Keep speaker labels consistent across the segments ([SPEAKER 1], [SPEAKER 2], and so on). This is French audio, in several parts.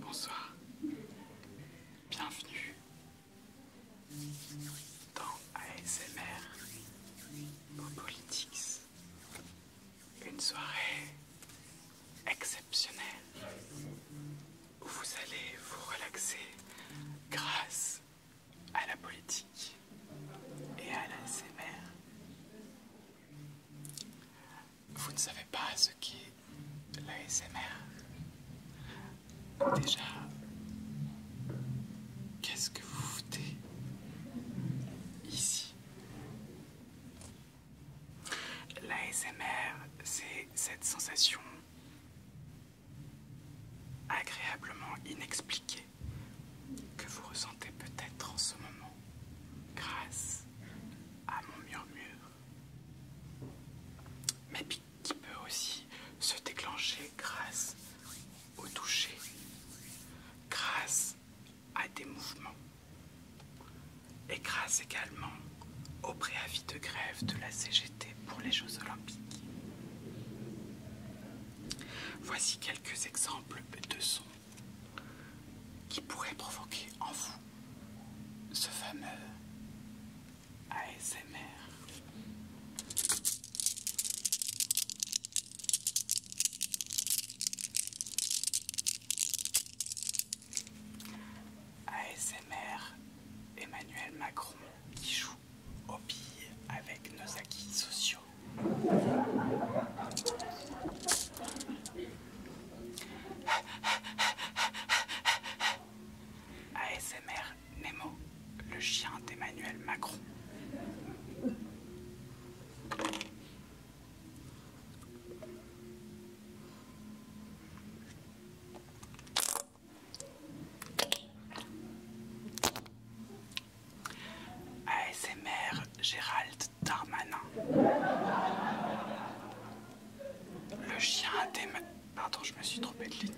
[SPEAKER 1] Bonsoir, bienvenue dans ASMR au politics une soirée exceptionnelle où vous allez vous relaxer grâce à la politique et à l'ASMR. Vous ne savez pas ce qu'est l'ASMR Déjà, qu'est-ce que vous foutez ici L'ASMR, c'est cette sensation agréablement inexpliquée que vous ressentez peut-être en ce moment grâce à mon murmure, mais qui peut aussi se déclencher grâce au toucher, grâce à des mouvements et grâce également au préavis de grève de la CGT pour les Jeux olympiques. Voici quelques exemples de sons qui pourraient provoquer en vous ce fameux ASMR. ASMR Emmanuel Macron qui joue aux billes avec nos acquis sociaux. ASMR Nemo, le chien d'Emmanuel Macron. ASMR Gérald Darmanin. Le chien a des ma... Pardon, je me suis trompé de lui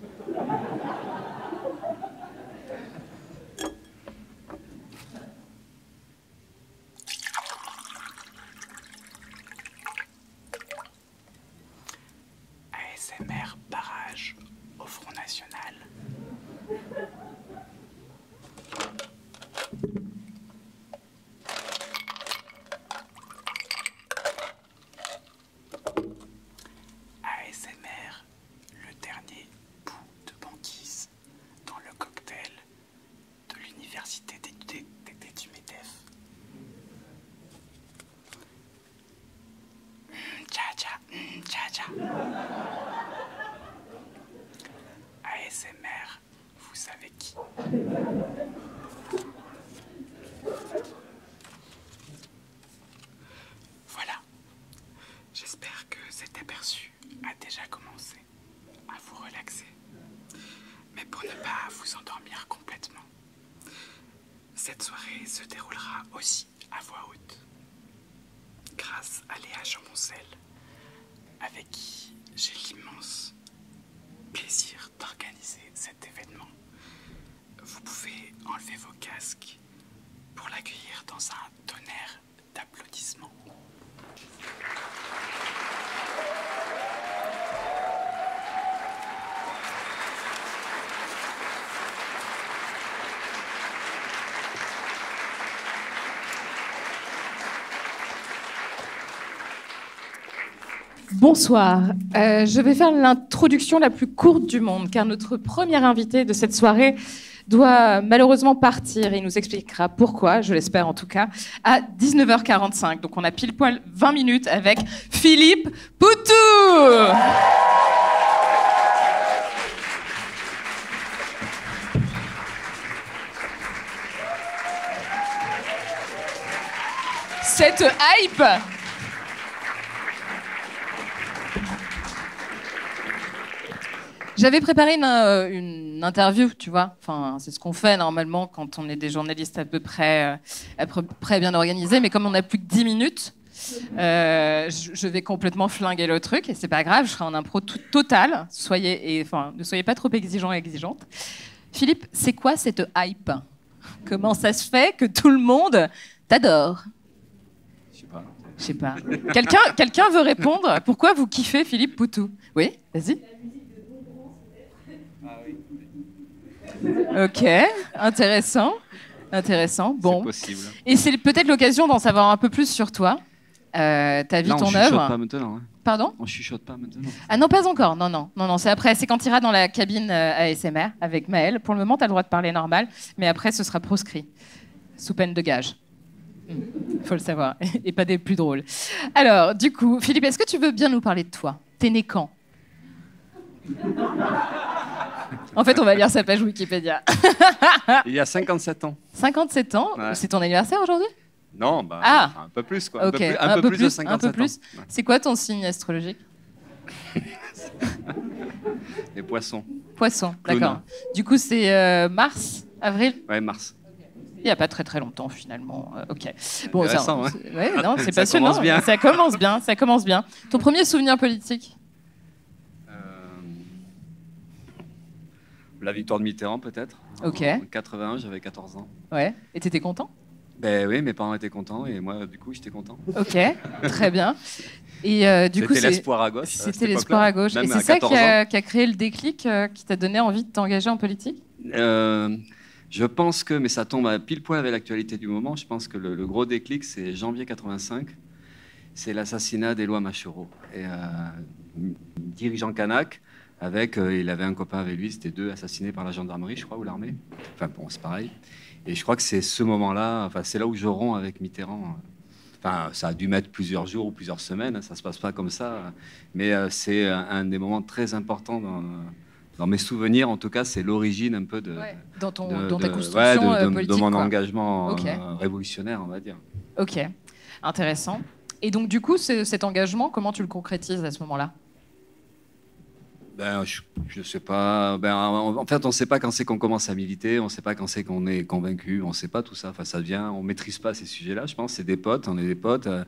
[SPEAKER 1] ASMR barrage au Front National. ASMR, le dernier bout de banquise dans le cocktail de l'université du MEDEF. Mmh, tcha tcha, mm, tcha tcha. ASMR, vous savez qui Voilà. J'espère que cet aperçu a déjà commencé à vous relaxer, mais pour ne pas vous endormir complètement. Cette soirée se déroulera aussi à voix haute, grâce à Léa Chamboncel, avec qui j'ai l'immense plaisir d'organiser cet événement. Vous pouvez enlever vos casques pour l'accueillir dans un tonnerre
[SPEAKER 2] d'applaudissements.
[SPEAKER 3] Bonsoir. Euh, je vais faire l'introduction la plus courte du monde, car notre premier invité de cette soirée doit malheureusement partir et nous expliquer pourquoi, je l'espère en tout cas, à 19h45. Donc on a pile poil 20 minutes avec Philippe Poutou. Cette hype J'avais préparé une, euh, interview, tu vois, c'est ce qu'on fait normalement quand on est des journalistes à peu près, euh, à près bien organisés. Mais comme on n'a plus que 10 minutes, euh, je vais complètement flinguer le truc et c'est pas grave, je serai en impro totale, total. Soyez, enfin, ne soyez pas trop exigeants et exigeantes. Philippe, c'est quoi cette hype Comment ça se fait que tout le monde t'adore Je sais pas. Je sais pas. Quelqu'un veut répondre Pourquoi vous kiffez Philippe Poutou Oui Vas-y. Ah ok, intéressant. Intéressant. Bon. Et c'est peut-être l'occasion d'en savoir un peu plus sur toi. Euh, ta vie, ton œuvre. pas
[SPEAKER 4] maintenant. Hein. Pardon On chuchote pas maintenant.
[SPEAKER 3] Ah non, pas encore. Non, non, non, non. C'est après. C'est quand tu iras dans la cabine euh, ASMR avec Maël. Pour le moment, tu as le droit de parler normal, mais après, ce sera proscrit, sous peine de gage. Hmm. Faut le savoir. Et pas des plus drôles. Alors, du coup, Philippe, est-ce que tu veux bien nous parler de toi T'es né quand En fait, on va lire sa page Wikipédia.
[SPEAKER 4] Il y a 57 ans.
[SPEAKER 3] 57 ans C'est ton anniversaire aujourd'hui
[SPEAKER 4] Non, bah, ah. un peu plus, quoi. Un, peu plus, de 57 ans.
[SPEAKER 3] C'est quoi ton signe astrologique
[SPEAKER 4] Les poissons. Poissons, d'accord.
[SPEAKER 3] Du coup, c'est euh, mars, avril Ouais, mars il n'y a pas très très longtemps finalement. Euh, ok. Bon, ça, hein. non, c'est passionnant. Ça commence bien. Ça commence bien. Ton premier souvenir politique euh,
[SPEAKER 4] La victoire de Mitterrand peut-être. Ok. En 81, j'avais 14 ans.
[SPEAKER 3] Ouais. Et étais content
[SPEAKER 4] Ben oui, mes parents étaient contents et moi du coup j'étais content. Ok. très bien. Et euh, du coup, c'était l'espoir à gauche. C'était l'espoir à gauche. et c'est ça qui a,
[SPEAKER 3] créé le déclic qui t'a donné envie de t'engager en politique
[SPEAKER 4] euh, je pense que, mais ça tombe à pile poil avec l'actualité du moment, je pense que le, gros déclic, c'est janvier 85, c'est l'assassinat d'Éloi Machereau, et, euh, dirigeant Kanak, avec, euh, il avait un copain avec lui, c'était deux assassinés par la gendarmerie, je crois, ou l'armée. Enfin bon, c'est pareil. Et je crois que c'est ce moment-là, enfin c'est là où je romps avec Mitterrand. Enfin, ça a dû mettre plusieurs jours ou plusieurs semaines, hein, ça se passe pas comme ça. Mais euh, c'est euh, un des moments très importants dans mes souvenirs, en tout cas, c'est l'origine un peu de,
[SPEAKER 3] mon engagement
[SPEAKER 4] révolutionnaire, on va dire.
[SPEAKER 3] Ok, intéressant. Et donc, du coup, cet engagement, comment tu le concrétises à ce moment-là
[SPEAKER 4] ben, je ne sais pas. Ben, en fait, on ne sait pas quand c'est qu'on commence à militer, on ne sait pas quand c'est qu'on est convaincu, on ne sait pas tout ça. Enfin, ça vient, on maîtrise pas ces sujets-là. Je pense, c'est des potes, on est des potes. Euh,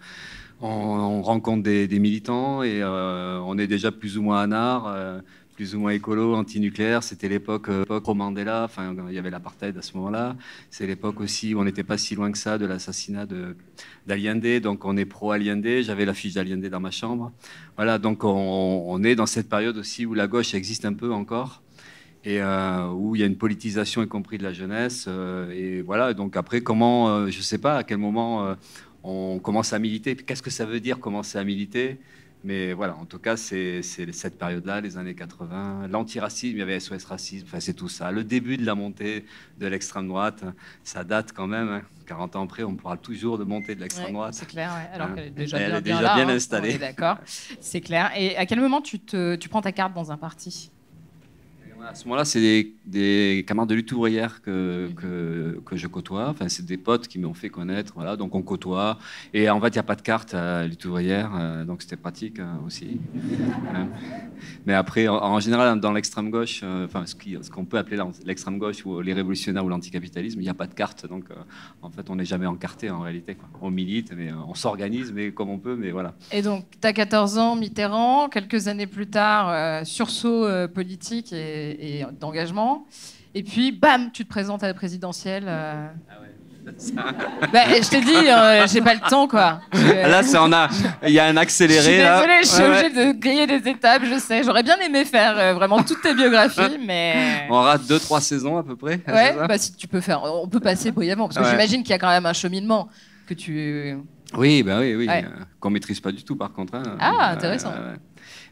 [SPEAKER 4] on, rencontre des, militants et euh, on est déjà plus ou moins à euh, plus ou moins écolo, anti-nucléaire. C'était l'époque euh, pro Mandela. il y avait l'apartheid à ce moment-là. C'est l'époque aussi où on n'était pas si loin que ça de l'assassinat d'Allende. Donc, on est pro-Allende. J'avais la fiche d'Allende dans ma chambre. Voilà. Donc, on, est dans cette période aussi où la gauche existe un peu encore et où il y a une politisation, y compris de la jeunesse. Euh, et voilà, donc après, comment, euh, je sais pas à quel moment euh, on commence à militer, qu'est-ce que ça veut dire commencer à militer mais voilà, en tout cas, c'est cette période-là, les années 80, l'antiracisme, il y avait SOS Racisme, enfin, c'est tout ça. Le début de la montée de l'extrême droite, ça date quand même. 40 hein. ans après, on pourra toujours de monter de l'extrême droite. c'est
[SPEAKER 3] clair, alors hein. déjà elle est déjà bien, hein. installée. D'accord, c'est clair. Et à quel moment te, tu prends ta carte dans un parti
[SPEAKER 4] à ce moment-là, c'est des, camarades de lutte ouvrière que, que, je côtoie. Enfin, c'est des potes qui m'ont fait connaître. Voilà, donc on côtoie. Et en fait, il n'y a pas de carte à lutte ouvrière, euh, donc c'était pratique euh, aussi. Hein. Mais après, en, général, dans l'extrême gauche, euh, enfin, ce, qu'on peut appeler l'extrême gauche ou les révolutionnaires ou l'anticapitalisme, il n'y a pas de carte. Donc, en fait, on n'est jamais encarté en réalité. On milite, mais on s'organise, mais comme on peut, mais voilà.
[SPEAKER 3] Et donc, T'as 14 ans, Mitterrand, quelques années plus tard, euh, sursaut euh, politique et, d'engagement. Et puis, bam, tu te présentes à la présidentielle. Euh. Ah ouais.
[SPEAKER 4] Bah,
[SPEAKER 3] je t'ai dit, j'ai pas le temps, quoi. Ah, là,
[SPEAKER 4] a. Il y a un accéléré. Je suis désolée, je suis obligée
[SPEAKER 3] de griller des étapes, je sais. J'aurais bien aimé faire vraiment toutes ta biographies, mais.
[SPEAKER 4] On rate 2-3 saisons à peu près. Bah,
[SPEAKER 3] si tu peux faire. On peut passer brièvement, parce que j'imagine qu'il y a quand même un cheminement que tu.
[SPEAKER 4] Oui, bah oui, oui. Euh, qu'on maîtrise pas du tout, par contre. Hein. Ah, intéressant.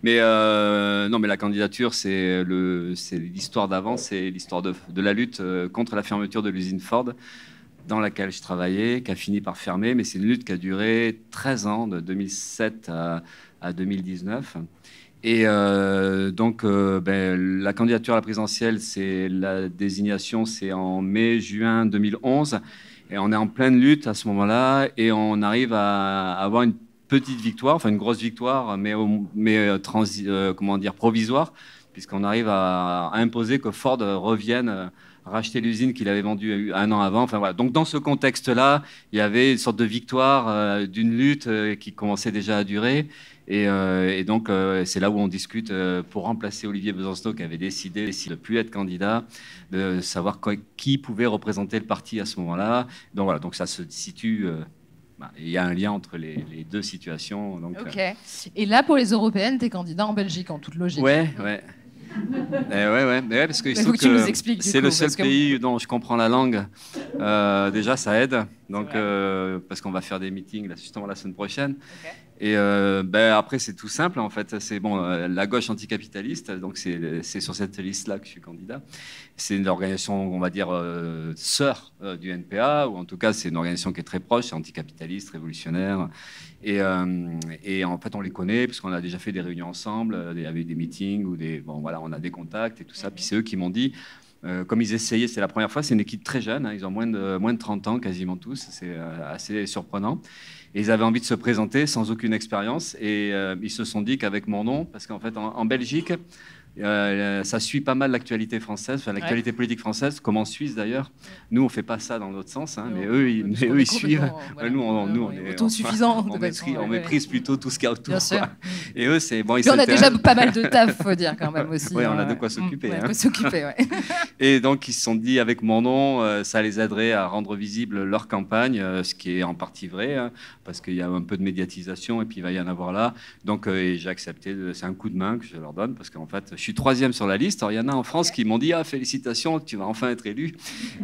[SPEAKER 4] mais euh, non, mais la candidature, c'est le, l'histoire d'avant, c'est l'histoire de, la lutte euh, contre la fermeture de l'usine Ford dans laquelle je travaillais, qui a fini par fermer. Mais c'est une lutte qui a duré 13 ans, de 2007 à, 2019. Et donc, ben, la candidature à la présidentielle, c'est la désignation, c'est en mai-juin 2011. Et on est en pleine lutte à ce moment-là et on arrive à avoir une petite victoire, enfin une grosse victoire, mais, mais euh, euh, comment dire, provisoire, puisqu'on arrive à, imposer que Ford revienne euh, racheter l'usine qu'il avait vendue un an avant. Enfin, voilà. Donc dans ce contexte-là, il y avait une sorte de victoire d'une lutte qui commençait déjà à durer. Et, donc c'est là où on discute pour remplacer Olivier Besancenot qui avait décidé, décidé plus être candidat, de savoir qui pouvait représenter le parti à ce moment-là. Donc voilà, donc ça se situe. Euh, bah, il y a un lien entre les, deux situations. Euh. ok.
[SPEAKER 3] Et là, pour les européennes, tu es candidat en Belgique, en toute logique. Ouais,
[SPEAKER 4] ouais. Eh ouais, ouais, parce que, c'est le seul pays dont je comprends la langue. Euh, déjà, ça aide. Donc, parce qu'on va faire des meetings là, justement la semaine prochaine. Et euh, ben après, c'est tout simple, en fait. C'est bon, euh, la gauche anticapitaliste, donc c'est sur cette liste-là que je suis candidat. C'est une organisation, on va dire, euh, sœur du NPA, ou en tout cas, c'est une organisation qui est très proche, anticapitaliste, révolutionnaire. Et, en fait, on les connaît, puisqu'on a déjà fait des réunions ensemble, il y avait des meetings, ou des, bon, voilà, on a des contacts et tout ça. Mhm. Puis c'est eux qui m'ont dit, comme ils essayaient, c'est la première fois, c'est une équipe très jeune, hein, ils ont moins de, moins de 30 ans quasiment tous, c'est assez surprenant ils avaient envie de se présenter sans aucune expérience. Et euh, ils se sont dit qu'avec mon nom, parce qu'en fait, en, Belgique, euh, ça suit pas mal l'actualité française, enfin, l'actualité politique française, comme en Suisse d'ailleurs. Nous, on fait pas ça dans notre sens, hein, mais eux, ils, suivent. nous, on, nous, on, est On, on, méprise, plutôt tout ce qu'il y a autour. Et eux, c'est bon. Ils on a déjà pas mal de taf, faut dire quand même aussi. Oui, hein. mm, on a de hein. quoi s'occuper. peut s'occuper, Et donc, ils se sont dit, avec mon nom, euh, ça les aiderait à rendre visible leur campagne, euh, ce qui est en partie vrai, hein, parce qu'il y a un peu de médiatisation et puis il va y en avoir là. Donc, euh, j'ai accepté, c'est un coup de main que je leur donne, parce qu'en fait, je suis troisième sur la liste. Alors, il y en a en France qui m'ont dit, ah, félicitations, tu vas enfin être élu.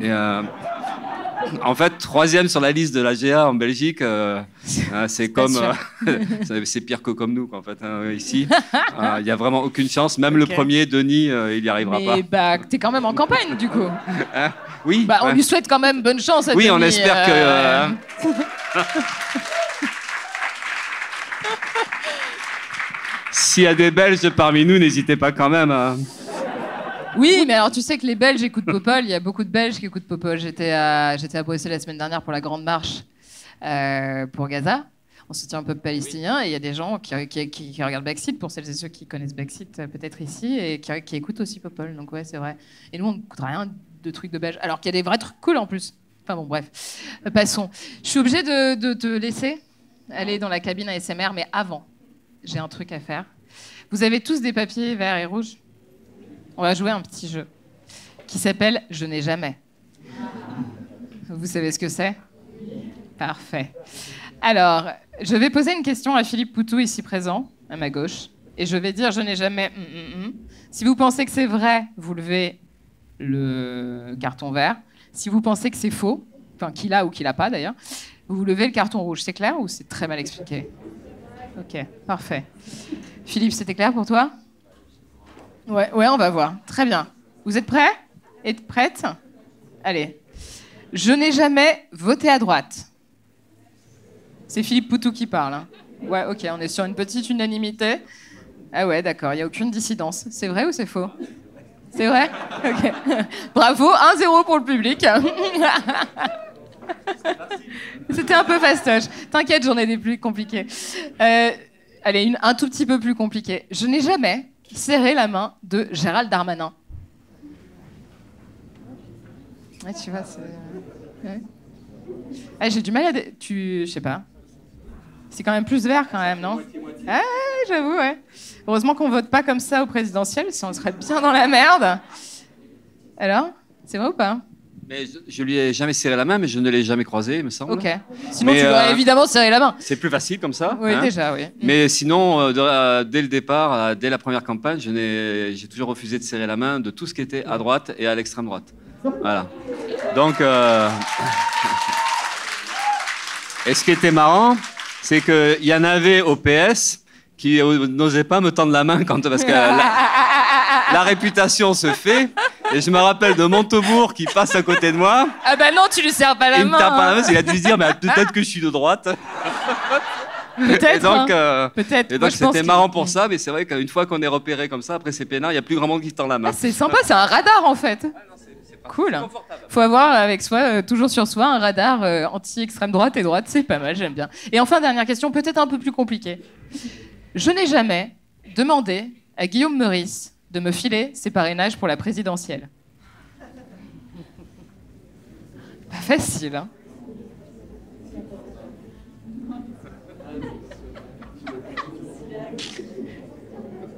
[SPEAKER 4] en fait, troisième sur la liste de la GA en Belgique, hein, c'est comme. c'est pire que comme nous. Hein, euh, ici. Euh, il n'y a vraiment aucune chance. Même le premier, Denis, euh, il n'y arrivera Mais,
[SPEAKER 3] pas. Bah, es quand même en campagne, du coup.
[SPEAKER 4] Hein oui. Bah, on lui souhaite
[SPEAKER 3] quand même bonne chance. À oui, on espère que. Hein.
[SPEAKER 4] S'il y a des Belges parmi nous, n'hésitez pas quand même
[SPEAKER 3] Oui, mais alors tu sais que les Belges écoutent Popol. Il y a beaucoup de Belges qui écoutent Popol. J'étais à, Bruxelles la semaine dernière pour la Grande Marche pour Gaza on soutient un peu palestinien et il y a des gens qui, regardent Backseat, pour celles et ceux qui connaissent Backseat euh, peut-être ici, et qui, écoutent aussi Popol. Donc ouais, c'est vrai. Et nous, on n'écoute rien de trucs de belge, alors qu'il y a des vrais trucs cool en plus. Enfin bon, bref, euh, passons. Je suis obligée de, te laisser aller dans la cabine ASMR, mais avant, j'ai un truc à faire. Vous avez tous des papiers verts et rouges On va jouer un petit jeu qui s'appelle Je n'ai jamais. Vous savez ce que c'est Parfait. Alors, je vais poser une question à Philippe Poutou, ici présent, à ma gauche. Et je vais dire, je n'ai jamais... Mm, mm, mm. Si vous pensez que c'est vrai, vous levez le carton vert. Si vous pensez que c'est faux, enfin qu'il a ou qu'il n'a pas d'ailleurs, vous levez le carton rouge. C'est clair ou c'est très mal expliqué Ok, parfait. Philippe, c'était clair pour toi ouais, ouais, on va voir. Très bien. Vous êtes prêts Êtes prête Allez. Je n'ai jamais voté à droite. C'est Philippe Poutou qui parle. Hein. Ouais, ok, on est sur une petite unanimité. Ah ouais, d'accord, il n'y a aucune dissidence. C'est vrai ou c'est faux C'est vrai Ok. Bravo, 1-0 pour le public. C'était un peu fastoche. T'inquiète, j'en ai des plus compliquées. Euh, elle est une, un tout petit peu plus compliquée. Je n'ai jamais serré la main de Gérald Darmanin. tu vois, euh, eh, j'ai du mal à. Tu. Je sais pas. C'est quand même plus vert, quand même, non ah, j'avoue, Heureusement qu'on vote pas comme ça au présidentiel, sinon on serait bien dans la merde. Alors C'est vrai ou pas
[SPEAKER 4] mais je, lui ai jamais serré la main, mais je ne l'ai jamais croisé, il me semble. Ok. Sinon, tu dois euh, évidemment serrer la main. C'est plus facile comme ça. Oui, hein. déjà, oui. Mais sinon, euh, euh, dès le départ, dès la première campagne, j'ai toujours refusé de serrer la main de tout ce qui était à droite et à l'extrême droite. Voilà. Donc. et ce qui était marrant, c'est qu'il y en avait au PS qui n'osaient pas me tendre la main parce que la, réputation se fait. Et je me rappelle de Montebourg qui passe à côté de moi
[SPEAKER 3] ah bah non, tu lui sers pas la main. Il me pas la main, a
[SPEAKER 4] dire, mais peut-être que je suis de droite.
[SPEAKER 3] Peut-être. Et donc, hein. euh, c'était marrant pour
[SPEAKER 4] ça, mais c'est vrai qu'une fois qu'on est repéré comme ça, après ces peinard, il n'y a plus grand monde qui tend la main. Ah, c'est sympa, c'est
[SPEAKER 3] un radar en fait. Ah, cool. Faut avoir avec soi, euh, toujours sur soi, un radar euh, anti-extrême droite et droite, c'est pas mal, j'aime bien. Et enfin, dernière question, peut-être un peu plus compliquée. Je n'ai jamais demandé à Guillaume Meurice de me filer ses parrainages pour la présidentielle. Pas facile, hein.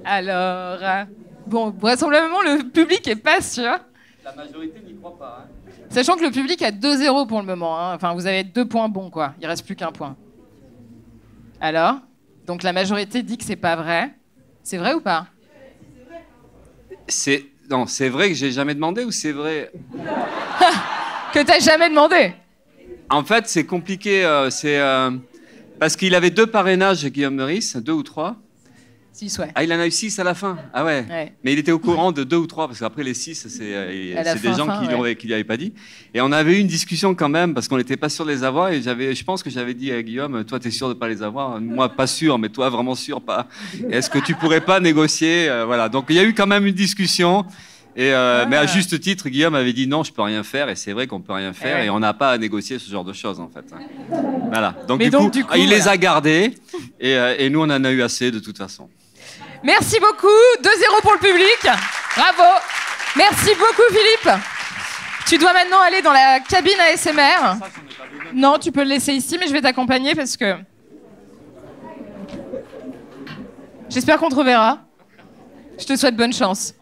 [SPEAKER 3] Alors, bon, vraisemblablement, le public est pas sûr.
[SPEAKER 4] La majorité n'y croit pas. Hein.
[SPEAKER 3] Sachant que le public a 2-0 pour le moment. Hein. Enfin, vous avez deux points bons, quoi. Il reste plus qu'un point. Alors Donc, la majorité dit que c'est pas vrai. C'est vrai ou pas
[SPEAKER 4] C'est non, c'est vrai que j'ai jamais demandé ou c'est vrai
[SPEAKER 3] que t'as jamais demandé
[SPEAKER 4] En fait, c'est compliqué. Euh, c'est euh, parce qu'il avait deux parrainages, Guillaume Meurice, deux ou trois. Si, ouais. Ah, il en a eu six à la fin. Ah ouais. Mais il était au courant de deux ou trois, parce qu'après les six, c'est euh, des gens qui ne pas dit. Et on avait eu une discussion quand même, parce qu'on n'était pas sûr les avoir. Et j'avais, je pense que j'avais dit à Guillaume, euh, toi, tu es sûr de pas les avoir. Moi, pas sûr, mais toi, vraiment sûr, pas. Est-ce que tu pourrais pas négocier euh, Voilà. Donc, il y a eu quand même une discussion. Et euh, ah. Mais à juste titre, Guillaume avait dit non, je peux rien faire. Et c'est vrai qu'on peut rien eh faire. Et, on n'a pas à négocier ce genre de choses, en fait. Voilà. Donc, du, coup, il les a gardés. Et, et, nous, on en a eu assez, de toute façon.
[SPEAKER 3] Merci beaucoup. 2-0 pour le public. Bravo. Merci beaucoup, Philippe. Tu dois maintenant aller dans la cabine ASMR. Non, tu peux le laisser ici, mais je vais t'accompagner parce que. J'espère qu'on te reverra. Je te souhaite bonne chance.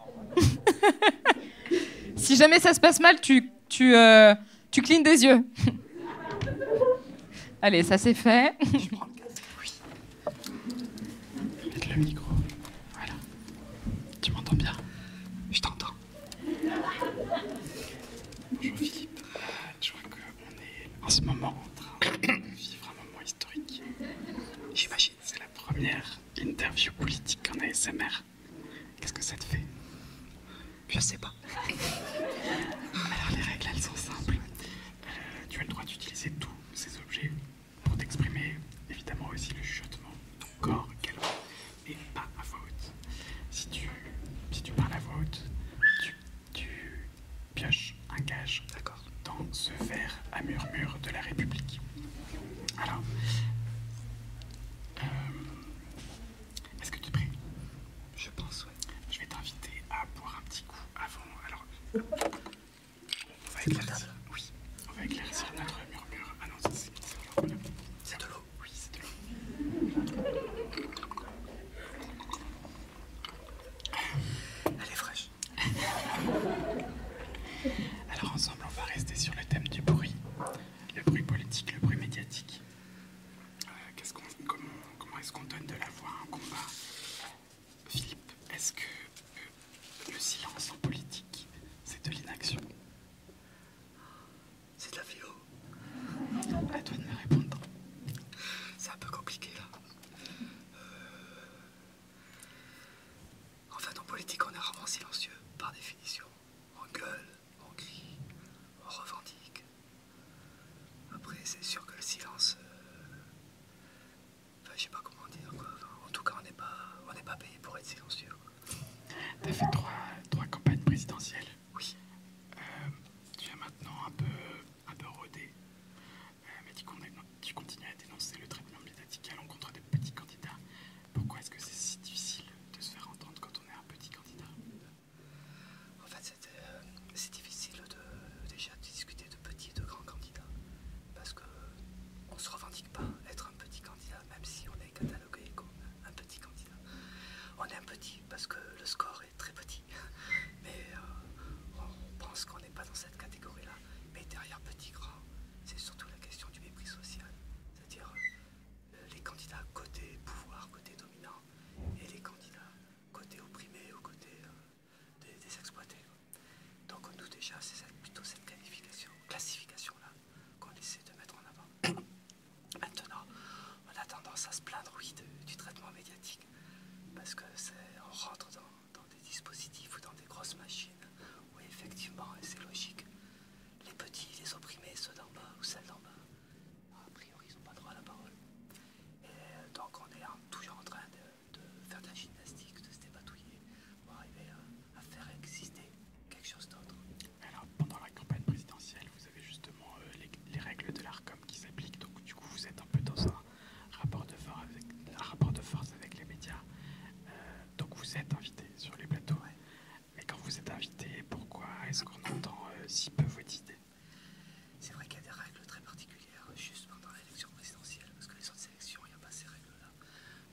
[SPEAKER 3] si jamais ça se passe mal, tu, tu, euh, tu des yeux. Allez, ça c'est fait. Je le micro. Voilà.
[SPEAKER 1] Tu m'entends bien Je t'entends. Bonjour Philippe. Je euh, crois qu'on est en ce moment en train de vivre un moment historique. J'imagine que c'est la première interview politique en ASMR. Qu'est-ce que ça te fait Je sais pas. Alors les règles elles sont simples. Euh, tu as le droit d'utiliser tous ces objets pour t'exprimer évidemment aussi le chuchotement, corps calme et pas à voix Si tu, parles à voix haute, tu, pioches un gage dans ce verre à murmure de la République. Alors, euh, est-ce que tu es Je pense, oui. Je vais t'inviter à boire un petit coup avant. Alors, on va éclaircir. Oui, on va éclaircir notre murmure. Ah non, c'est de l'eau. C'est de l'eau Oui, c'est de l'eau. Elle est fraîche. Alors ensemble, on va rester sur le thème du bruit. Le bruit politique, le bruit médiatique. Euh, comment, est-ce qu'on donne de la voix à un combat Philippe, est-ce que euh, le silence en politique, c'est de l'inaction c'est de la philo. À toi de me répondre.
[SPEAKER 5] C'est un peu compliqué là. En fait, en politique, on est rarement silencieux, par définition. On gueule, on crie, on revendique. Après, c'est sûr que le silence. Euh,
[SPEAKER 1] enfin, je sais pas comment dire quoi. en tout cas, on n'est pas, on n'est pas payé pour être silencieux. T'as fait trois, trois campagnes présidentielles. Oui. Euh, tu as maintenant un peu, un peu rodé. Euh, mais tu, tu continues à dénoncer le traitement médiatique à l'encontre des petits candidats. Pourquoi est-ce que c'est si difficile de se faire entendre quand on est un petit candidat En fait, euh, c'est difficile de,
[SPEAKER 5] déjà de discuter de petits et de grands candidats. Parce qu'on ne se revendique pas être un petit candidat, même si on est candidat un petit candidat. On est un petit parce que le score est très petit, mais euh, on pense qu'on n'est pas dans cette catégorie-là. Mais derrière petit grand, c'est surtout la question du mépris social, c'est-à-dire euh, les candidats côté pouvoir, côté dominant, et les candidats côté opprimé ou côté euh, des, exploités. Donc nous déjà, c'est plutôt cette classification-là qu'on essaie de mettre en avant. Maintenant, on a tendance à se plaindre, oui, du traitement médiatique, parce que on rentre dans, des dispositifs ou dans des grosses machines où effectivement, c'est logique, les petits, les opprimés, ceux d'en bas ou celles d'en bas, a priori, ils n'ont pas droit à la parole. Et euh, donc, on est toujours en train de, faire de la gymnastique, de se débatouiller, pour arriver
[SPEAKER 1] à, faire exister quelque chose d'autre. Alors pendant la campagne présidentielle, vous avez justement euh, les, règles de l'ARCOM qui s'appliquent, donc du coup vous êtes un peu dans un rapport de force avec, les médias. Euh, donc vous êtes invité sur les plateaux. Mais quand vous êtes invité, pourquoi est-ce qu'on entend euh, si peu vos idées C'est vrai qu'il y a des règles très particulières juste pendant l'élection présidentielle, parce que les
[SPEAKER 5] autres élections, il n'y a pas ces règles-là.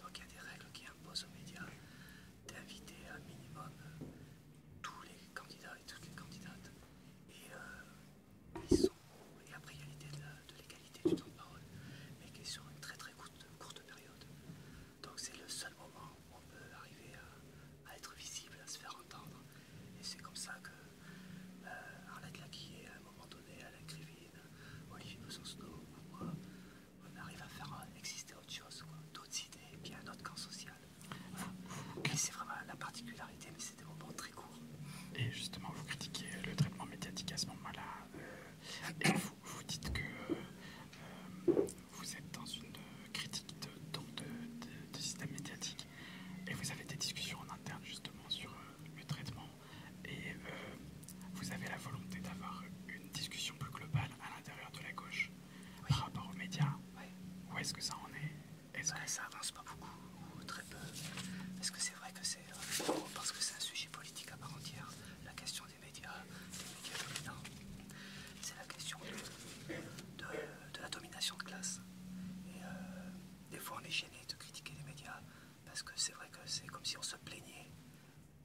[SPEAKER 5] Donc il y a des règles qui imposent aux médias d'inviter un minimum euh, tous les candidats et toutes les candidates. Et euh, ils sont, et après il y a l'idée de l'égalité du temps de parole, mais qui est sur une très très courte, période. Donc c'est le seul moment où on peut arriver à, être visible, à se faire entendre. Et c'est comme ça que euh, Arlette Lacquier à un moment donné, Alain Crévine, Olivier Besancenot moi, on arrive à faire euh, exister autre chose, d'autres idées, et puis un autre camp social. C'est vraiment la
[SPEAKER 1] particularité, mais c'est des moments très courts. Et justement, vous critiquez le traitement médiatique à ce moment-là, euh, vous, dites que euh, vous êtes dans une critique de, système médiatique, et vous avez des discussions en interne justement sur le traitement, et vous avez la volonté d'avoir une discussion plus globale à l'intérieur de la gauche par rapport aux médias Où est-ce que ça en est est ça avance pas beaucoup ou très peu est que c'est vrai que c'est euh,
[SPEAKER 5] parce que c'est un sujet politique à part entière La question des médias, des médias dominants, c'est la question de, la domination de classe. Et euh, des fois on est gêné de critiquer les médias parce que c'est vrai que c'est comme si on se plaignait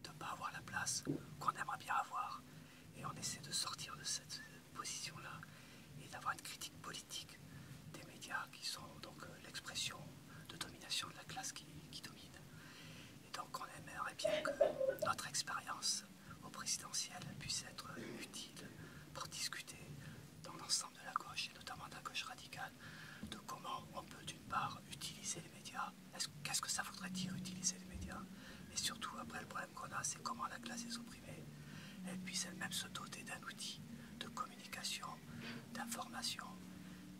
[SPEAKER 5] de ne pas avoir la place qu'on aimerait bien avoir. Et on essaie de sortir de cette position-là et d'avoir une critique politique des médias qui sont donc euh, l'expression de domination de la classe qui, domine. Et donc on aimerait bien que notre expérience au présidentiel puisse être utile pour discuter dans l'ensemble de la gauche et notamment de la gauche radicale de comment on peut d'une part utiliser les médias Qu'est-ce que ça voudrait dire utiliser les médias Et surtout, après, le problème qu'on a, c'est comment la classe est opprimée elle puisse elle-même se doter d'un outil de communication, d'information,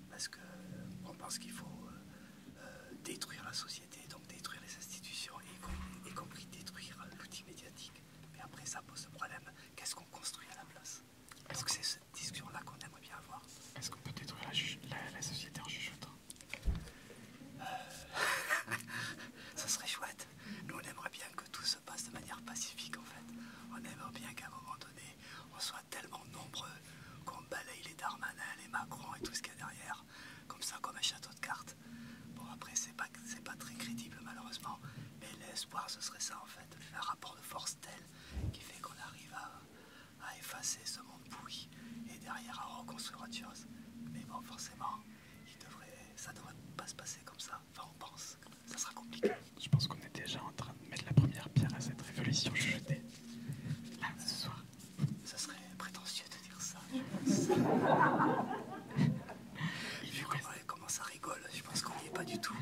[SPEAKER 5] parce qu'on pense qu'il faut euh, euh, détruire la société, donc détruire les institutions, y, compris détruire euh, l'outil médiatique. Mais après, ça pose le problème, qu'est-ce qu'on construit à la place Est-ce que c'est cette discussion-là qu'on aimerait bien avoir Est-ce qu'on peut détruire la, société en jugeant ce serait chouette. Nous, on aimerait bien que tout se passe de manière pacifique, en fait. On aimerait bien qu'à un moment donné, on soit tellement nombreux qu'on balaye les Darmanin, les Macron et tout ce qu'il y a derrière, comme ça, comme un château de cartes. Bon, après, c'est pas, pas très crédible, malheureusement, mais l'espoir, ce serait ça, en fait. Un rapport de force tel qui fait qu'on arrive à, à effacer ce monde bouillie et derrière à reconstruire autre chose. Mais bon, forcément, il devrait, ça devrait pas se passer comme
[SPEAKER 1] ça. Enfin, on pense, ça sera compliqué. Je pense qu'on est déjà en train de mettre la première pierre à cette révolution chuchotée. Là, ce soir. Ça serait prétentieux de dire ça, je
[SPEAKER 5] pense. comment, comment ça rigole, je pense qu'on n'y est pas du
[SPEAKER 1] tout.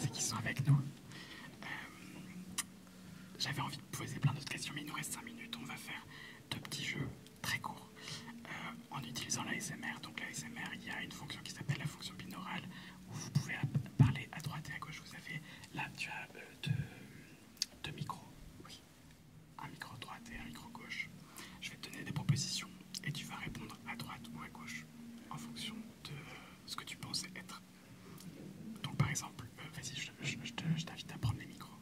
[SPEAKER 1] C'est qu'ils sont avec nous. Euh, j'avais envie de poser plein d'autres questions, mais il nous reste 5 minutes. On va faire deux petits jeux très courts euh, en utilisant la SMR. Donc, la SMR, il y a une fonction qui s'appelle la fonction binaurale où vous pouvez parler à droite et à gauche. Vous avez là, tu as euh, deux, micros. un micro droite et un micro gauche. Je vais te donner des propositions et tu vas répondre à droite ou à gauche en fonction de ce que tu penses être donc par exemple, euh, vas-y, je, t'invite à prendre les micros.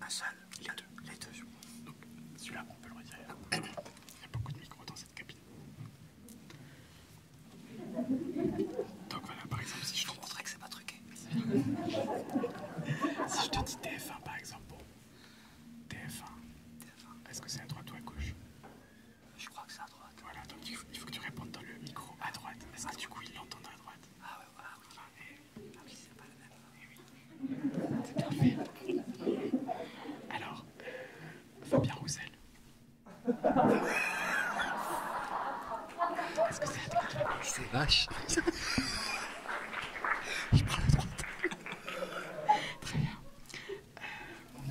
[SPEAKER 1] Un seul Il y a deux. a deux. Donc celui-là, on peut le retirer. Il y a beaucoup de micros dans cette cabine. Donc voilà, par exemple, si je te que c'est pas truqué. si je te dis TF1 par exemple, TF1. tf Est-ce que c'est à droite ou à gauche Je crois que c'est à droite. Voilà, donc il faut, que tu répondes dans le micro à droite. Est-ce que du coup il l'entend à droite ah, ouais, ah oui, ah, oui c'est pas la même. C'est parfait.
[SPEAKER 5] Alors, Fabien Roussel. Est-ce que c'est à droite C'est vache. Je parle la droite.
[SPEAKER 6] Très bien.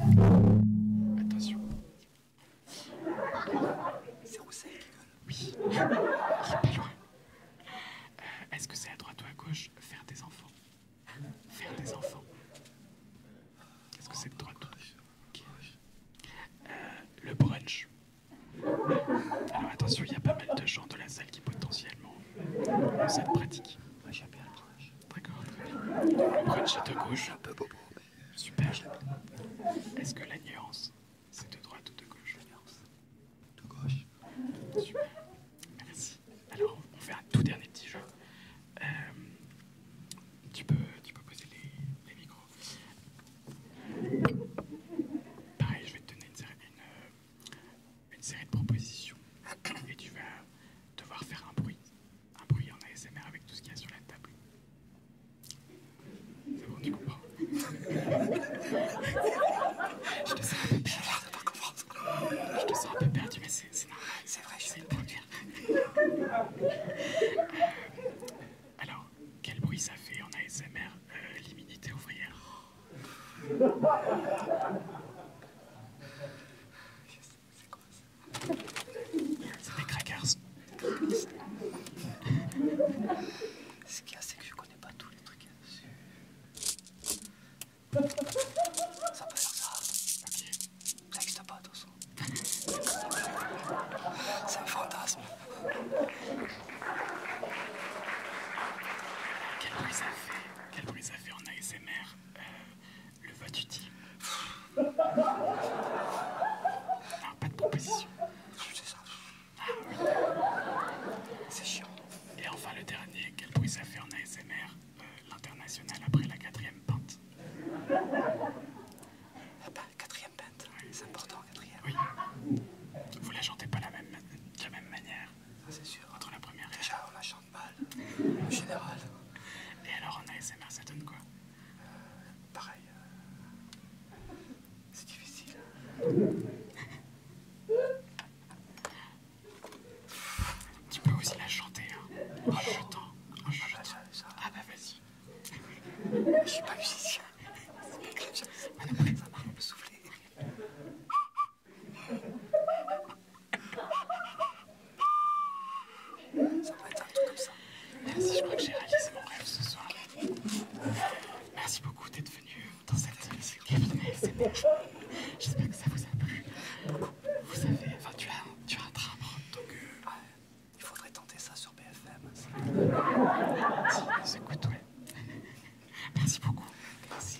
[SPEAKER 6] Euh, attention.
[SPEAKER 1] C'est Oui. Il est pas loin. Est-ce que c'est à droite ou à gauche Faire des enfants. Faire des enfants. Est-ce que c'est de droite à gauche euh, Le brunch. Alors attention, il y a pas mal de gens de la salle qui potentiellement ont cette pratique. Moi le brunch. D'accord. Le brunch est de gauche. Super. Est-ce que la nuance c'est de droite ou de gauche De gauche. Super. Merci. Alors, on fait un tout dernier petit jeu. Euh, tu, peux, peux poser les, micros. Pareil, je vais te donner euh, une série de propositions et tu vas devoir faire un bruit. Un bruit en ASMR avec tout ce qu'il y a sur la table. C'est bon, tu comprends. je te sens un peu perdu. mais c'est C'est vrai, je suis un peu Alors, quel bruit ça fait en ASMR l'immunité ouvrière
[SPEAKER 6] C'est des crackers. Ce qu'il y a, c'est que je connais pas tous les trucs qu'il y a dessus. Ça peut faire ça. Ok. Ça n'existe pas, de
[SPEAKER 1] toute façon. C'est un fantasme. Quel bruit ça fait Quel bruit ça fait en ASMR euh, Le vote tu pas de proposition. C'est chiant. Et enfin le dernier, quel bruit ça fait en ASMR euh, L'international après la quatrième pente. La ah bah, quatrième pente, c'est important, quatrième. Oui. Vous la chantez pas de la même manière. c'est sûr. Entre la première Déjà, on la chante mal, en général. Et alors en ASMR, ça donne quoi pareil, euh, c'est difficile. Tu peux aussi la chanter hein, oh, oh, en chantant. Oh, ah bah vas-y. Je suis pas musicien. On peut ça souffler. Ça va être un truc comme ça. Merci, je crois que j'ai réalisé mon rêve ce soir. Merci beaucoup d'être venu dans cette cabine J'espère que ça vous a plu Vous savez, enfin, tu as, tu as un drame, hein, donc euh, il faudrait tenter ça
[SPEAKER 5] sur
[SPEAKER 6] BFM. C'est cool, Merci beaucoup. Merci.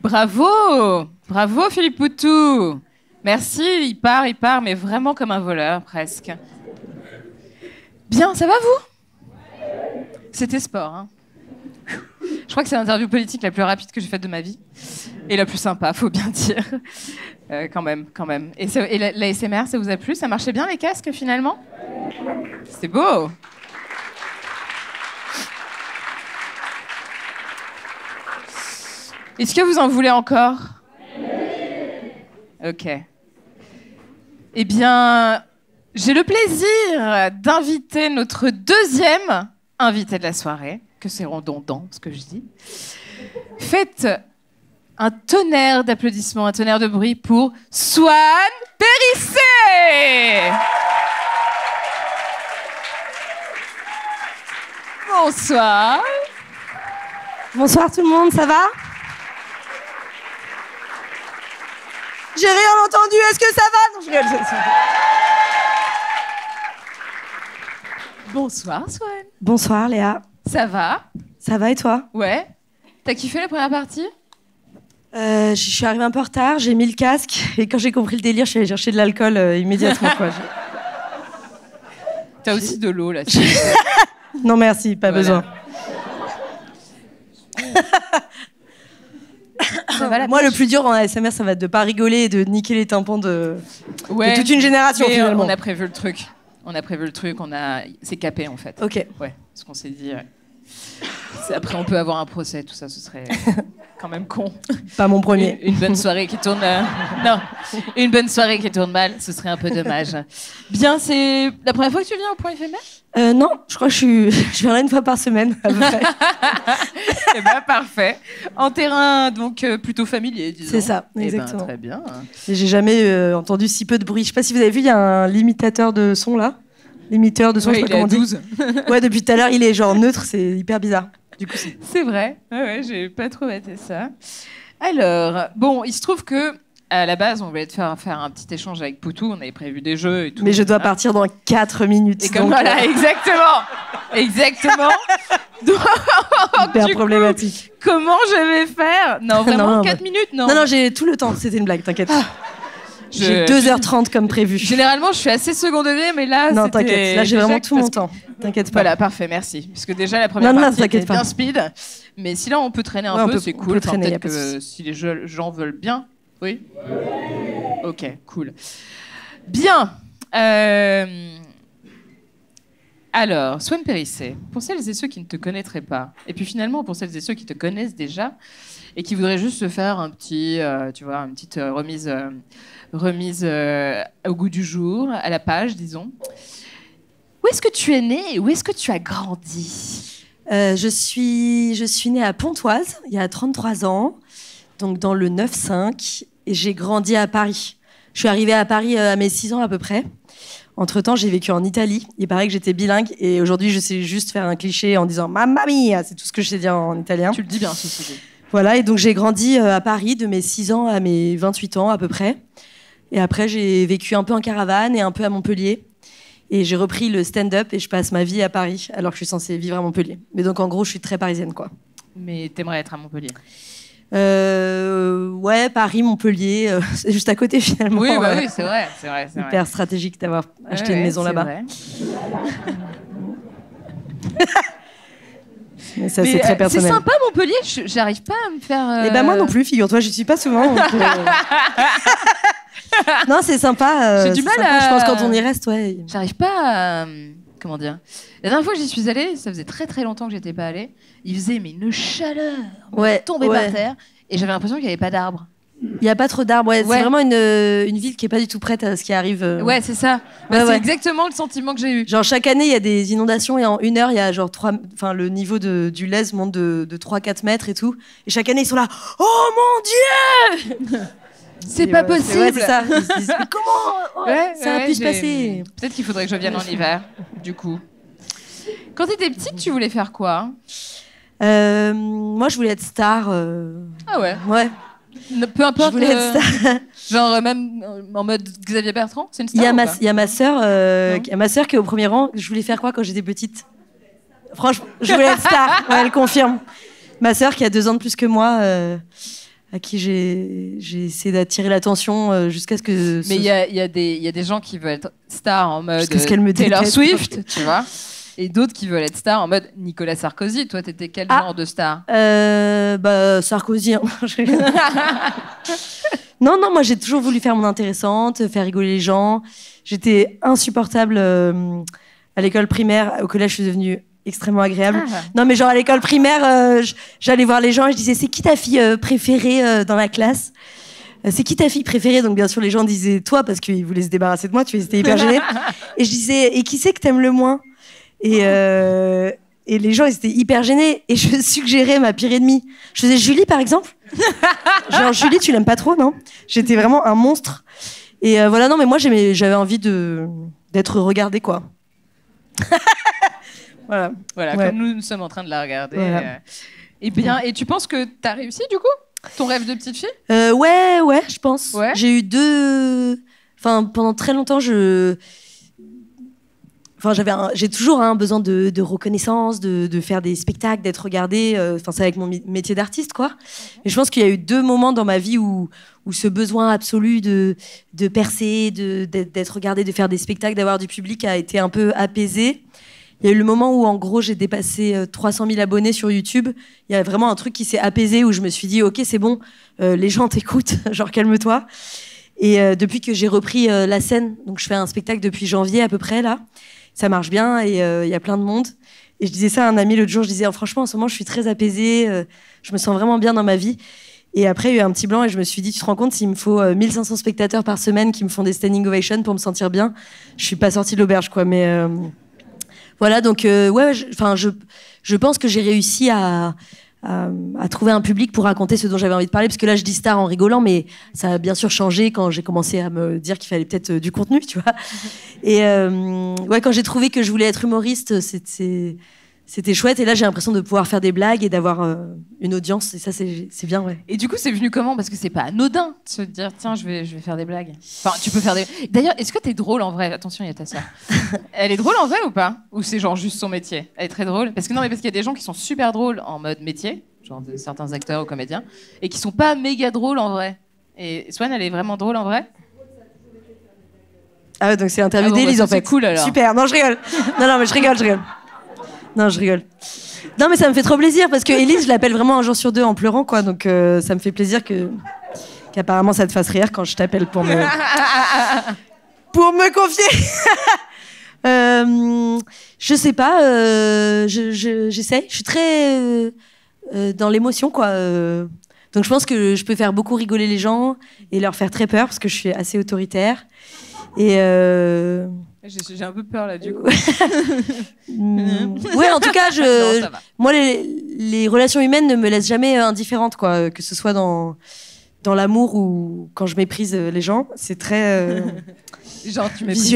[SPEAKER 3] Bravo Bravo Philippe Poutou Merci, il part, il part, mais vraiment comme un voleur, presque. Bien, ça va vous C'était sport. Hein. Je crois que c'est l'interview politique la plus rapide que j'ai faite de ma vie. Et la plus sympa, faut bien dire. Euh, quand même, quand même. Et, la ça vous a plu Ça marchait bien les casques finalement C'est beau est-ce que vous en voulez encore Ok. Eh bien, j'ai le plaisir d'inviter notre deuxième invité de la soirée, que c'est redondant ce que je dis. Faites un tonnerre d'applaudissements, un tonnerre de bruit pour Swan Périssez Bonsoir. Bonsoir tout le monde, ça va
[SPEAKER 7] J'ai rien entendu, est-ce que ça va Bonsoir Swan. Bonsoir Léa. Ça va Ça va et toi
[SPEAKER 3] Ouais. T'as kiffé la première
[SPEAKER 7] partie euh, je suis arrivée un peu en retard, j'ai mis le casque et quand j'ai compris le délire, je suis allée chercher de l'alcool euh, immédiatement. Quoi.
[SPEAKER 3] T'as aussi de l'eau là. dessus non merci, pas besoin.
[SPEAKER 7] Moi, le plus dur en ASMR, ça va être de pas rigoler et de niquer les tampons de,
[SPEAKER 3] toute une génération euh, finalement. On a prévu le truc. On a prévu le truc. On a, c'est capé en fait. Ok. Ouais. Ce qu'on s'est dit. Après, on peut avoir un procès, tout ça, ce serait quand même con.
[SPEAKER 7] Pas mon premier. Une,
[SPEAKER 3] bonne soirée qui tourne. Euh, non, une bonne soirée qui tourne mal, ce serait un peu dommage. Bien, c'est la première fois que tu viens au point éphémère euh, Non, je crois que je, viens une fois par semaine. À peu eh ben, parfait. En terrain donc euh, plutôt familier, disons. C'est ça, eh ben, exactement. très bien.
[SPEAKER 7] J'ai jamais entendu si peu de bruit. Je ne sais pas si vous avez vu, il y a un limitateur de son là. L'émetteur de son, je ouais, depuis tout à l'heure, il est genre neutre, c'est hyper bizarre. Du
[SPEAKER 3] coup, c'est vrai. Ouais, j'ai pas trop été ça. Alors, bon, il se trouve que à la base, on voulait faire, un petit échange avec Poutou, on avait prévu des jeux et tout. Mais je dois hein partir
[SPEAKER 7] dans 4 minutes. voilà, euh, exactement.
[SPEAKER 3] Exactement. Hyper problématique. comment je vais
[SPEAKER 7] faire Non, vraiment 4 minutes, non. Non, non, j'ai tout le temps, c'était une blague, t'inquiète. Ah. J'ai
[SPEAKER 3] 2h30 comme prévu. Généralement, je suis assez second degré, mais là. Non, t'inquiète, là j'ai vraiment tout mon temps. T'inquiète pas. Voilà, parfait, merci. Puisque déjà, la première partie bien speed. Mais si là, on peut traîner un peu, c'est cool. peut si les gens veulent bien. Oui Ok, cool. Bien. Alors, euh, Alors, Swan pour celles et ceux qui ne te connaîtraient pas, et puis finalement pour celles et ceux qui te connaissent déjà, et qui voudrait juste se faire un petit, euh, tu vois, une petite euh, remise, euh, remise au goût du jour, à la page, disons. Où est-ce que tu es né où est-ce que
[SPEAKER 7] tu as grandi je, suis, je suis née à Pontoise, il y a 33 ans, donc dans le 9-5, et j'ai grandi à Paris. Je suis arrivée à Paris à mes 6 ans à peu près. Entre temps, j'ai vécu en Italie. Il paraît que j'étais bilingue et aujourd'hui, je sais juste faire un cliché en disant ma mia, c'est tout ce que je sais dire en italien. Tu le dis bien, Voilà, et donc j'ai grandi euh, à Paris de mes 6 ans à mes 28 ans à peu près. Et après, j'ai vécu un peu en caravane et un peu à Montpellier. Et j'ai repris le stand-up et je passe ma vie à Paris alors que je suis censée vivre à Montpellier. Mais donc en gros, je suis très parisienne quoi.
[SPEAKER 3] Mais t'aimerais être à Montpellier
[SPEAKER 7] euh, ouais, Paris, Montpellier, euh, c'est juste à côté finalement. Oui, bah oui c'est vrai, c'est stratégique d'avoir acheter une maison là-bas. ça, c'est très euh, sympa
[SPEAKER 3] Montpellier, j'arrive pas à me faire. Eh ben moi non euh,
[SPEAKER 7] plus, figure-toi, je suis pas souvent. Euh.
[SPEAKER 3] non, c'est sympa. J'ai du mal Je pense quand on y reste, ouais. J'arrive pas à. Comment dire La dernière fois que j'y suis allée, ça faisait très très longtemps que j'étais pas allée. Il faisait mais une chaleur. Ouais. tombé par terre et j'avais l'impression qu'il n'y avait pas d'arbres.
[SPEAKER 7] Il n'y a pas trop d'arbres. C'est vraiment euh, une, ville qui n'est pas du tout prête à ce qui arrive. Euh. Ouais, c'est
[SPEAKER 3] ça. Bah, c'est
[SPEAKER 7] exactement le sentiment que j'ai eu. Genre, chaque année, il y a des inondations et en une heure, il y genre trois. Enfin, le niveau du lèse monte de, 3-4 mètres et tout. Et chaque année, ils sont là. Oh mon Dieu C'est pas possible ça.
[SPEAKER 3] Comment oh, ça se pu Peut-être qu'il faudrait que je vienne en hiver, du coup. Quand tu étais petite, tu voulais faire quoi euh, moi, je voulais être star. Euh, ah ouais. Ouais. Peu importe. Euh, genre, euh, même en mode Xavier Bertrand, c'est une star. Il y a ma, pas il a
[SPEAKER 7] ma sœur, qui- est au premier rang. Je voulais faire quoi quand j'étais petite Franchement, je voulais être star. elle confirme. Ma sœur qui a deux ans de plus que moi, à qui j'ai essayé d'attirer l'attention jusqu'à ce que. Mais il y
[SPEAKER 3] a, des- gens qui veulent être star en mode Jusqu'à ce qu'elle me Taylor Swift, tu vois et d'autres qui veulent être stars en mode Nicolas Sarkozy. Toi, t'étais quel ah. genre de star
[SPEAKER 7] euh, bah, Sarkozy. Hein. non, non, moi j'ai toujours voulu faire mon intéressante, faire rigoler les gens. J'étais insupportable euh, à l'école primaire. Au collège, je suis devenue extrêmement agréable. Ah. Non, mais genre à l'école primaire, euh, j'allais voir les gens et je disais c'est qui ta fille euh, préférée dans la classe c'est qui ta fille préférée Donc bien sûr les gens disaient toi parce qu'ils voulaient se débarrasser de moi, tu étais hyper gênée. et je disais, et qui c'est que t'aimes le moins et, euh, et les gens, ils étaient hyper gênés. Et je suggérais ma pire ennemie. Je faisais Julie, par exemple. Genre, Julie, tu l'aimes pas trop, non J'étais vraiment un monstre. Et euh, voilà, non, mais moi, j'avais envie de d'être regardée, quoi.
[SPEAKER 3] voilà. Voilà, comme nous, sommes en train de la regarder. et euh. eh bien, et tu penses que t'as réussi, du coup ton rêve de petite fille
[SPEAKER 7] euh, Ouais, ouais, je pense. J'ai eu deux. Enfin, pendant très longtemps, je. Enfin, j'avais j'ai toujours un hein, besoin de, reconnaissance, de, faire des spectacles, d'être regardée. Euh, c'est avec mon métier d'artiste, quoi. Mais je pense qu'il y a eu deux moments dans ma vie où, où ce besoin absolu de, percer, d'être regardée, de faire des spectacles, d'avoir du public a été un peu apaisé. Il y a eu le moment où, en gros, j'ai dépassé 300 euh, 000 abonnés sur YouTube il y a vraiment un truc qui s'est apaisé où je me suis dit, ok, c'est bon, euh, les gens t'écoutent, genre calme-toi. Et euh, depuis que j'ai repris euh, la scène, donc je fais un spectacle depuis janvier à peu près là, ça marche bien et il y a plein de monde. Et je disais ça à un ami l'autre jour, je disais, oh, franchement, en ce moment, je suis très apaisée, je me sens vraiment bien dans ma vie. Et après, il y a eu un petit blanc et je me suis dit, tu te rends compte, s'il me faut 1500 spectateurs par semaine qui me font des standing ovations pour me sentir bien, je suis pas sortie de l'auberge, quoi. Mais voilà, donc euh, ouais, enfin je, je, pense que j'ai réussi à, trouver un public pour raconter ce dont j'avais envie de parler, parce que là je dis star en rigolant, mais ça a bien sûr changé quand j'ai commencé à me dire qu'il fallait peut-être euh, du contenu, tu vois. Et euh, ouais, quand j'ai trouvé que je voulais être humoriste, c'était c'était chouette. Et là, j'ai l'impression de pouvoir faire des blagues et d'avoir une audience. Et ça, c'est bien,
[SPEAKER 3] ouais. Et du coup, c'est venu comment Parce que c'est pas anodin de se dire, tiens, je vais, je vais faire des blagues. Enfin, tu peux faire des. D'ailleurs, est-ce que t'es drôle en vrai Attention, il y a ta soeur. Elle est drôle en vrai ou pas Ou c'est genre juste son métier Elle est très drôle Parce que non, mais parce qu'il y a des gens qui sont super drôles en mode métier, genre certains acteurs ou comédiens, et qui sont pas méga drôles en vrai. Et Swan, elle est vraiment drôle en vrai
[SPEAKER 7] Ah, ouais, donc c'est l'interview ah d'Élise bah en fait. cool alors. Super,
[SPEAKER 3] non, je rigole. Non, non, mais je rigole, je rigole.
[SPEAKER 7] Non, je rigole. Non, mais ça me fait trop plaisir parce que Élise, je l'appelle vraiment un jour sur deux en pleurant, quoi. Donc euh, ça me fait plaisir que qu'apparemment ça te fasse rire quand je t'appelle pour me pour me confier. Euh, je sais pas. Euh, je, j'essaie. je, suis très euh, dans l'émotion, quoi. donc je pense que je peux faire beaucoup rigoler les gens et leur faire très peur parce que je suis assez autoritaire. Et
[SPEAKER 3] j'ai, un peu peur là du coup. Mm. ouais, en tout cas, je,
[SPEAKER 7] moi, les, relations humaines ne me laissent jamais euh, indifférente, quoi, que ce soit dans dans l'amour ou quand je méprise euh, les gens, c'est très
[SPEAKER 3] visuel. Euh, tu méprises.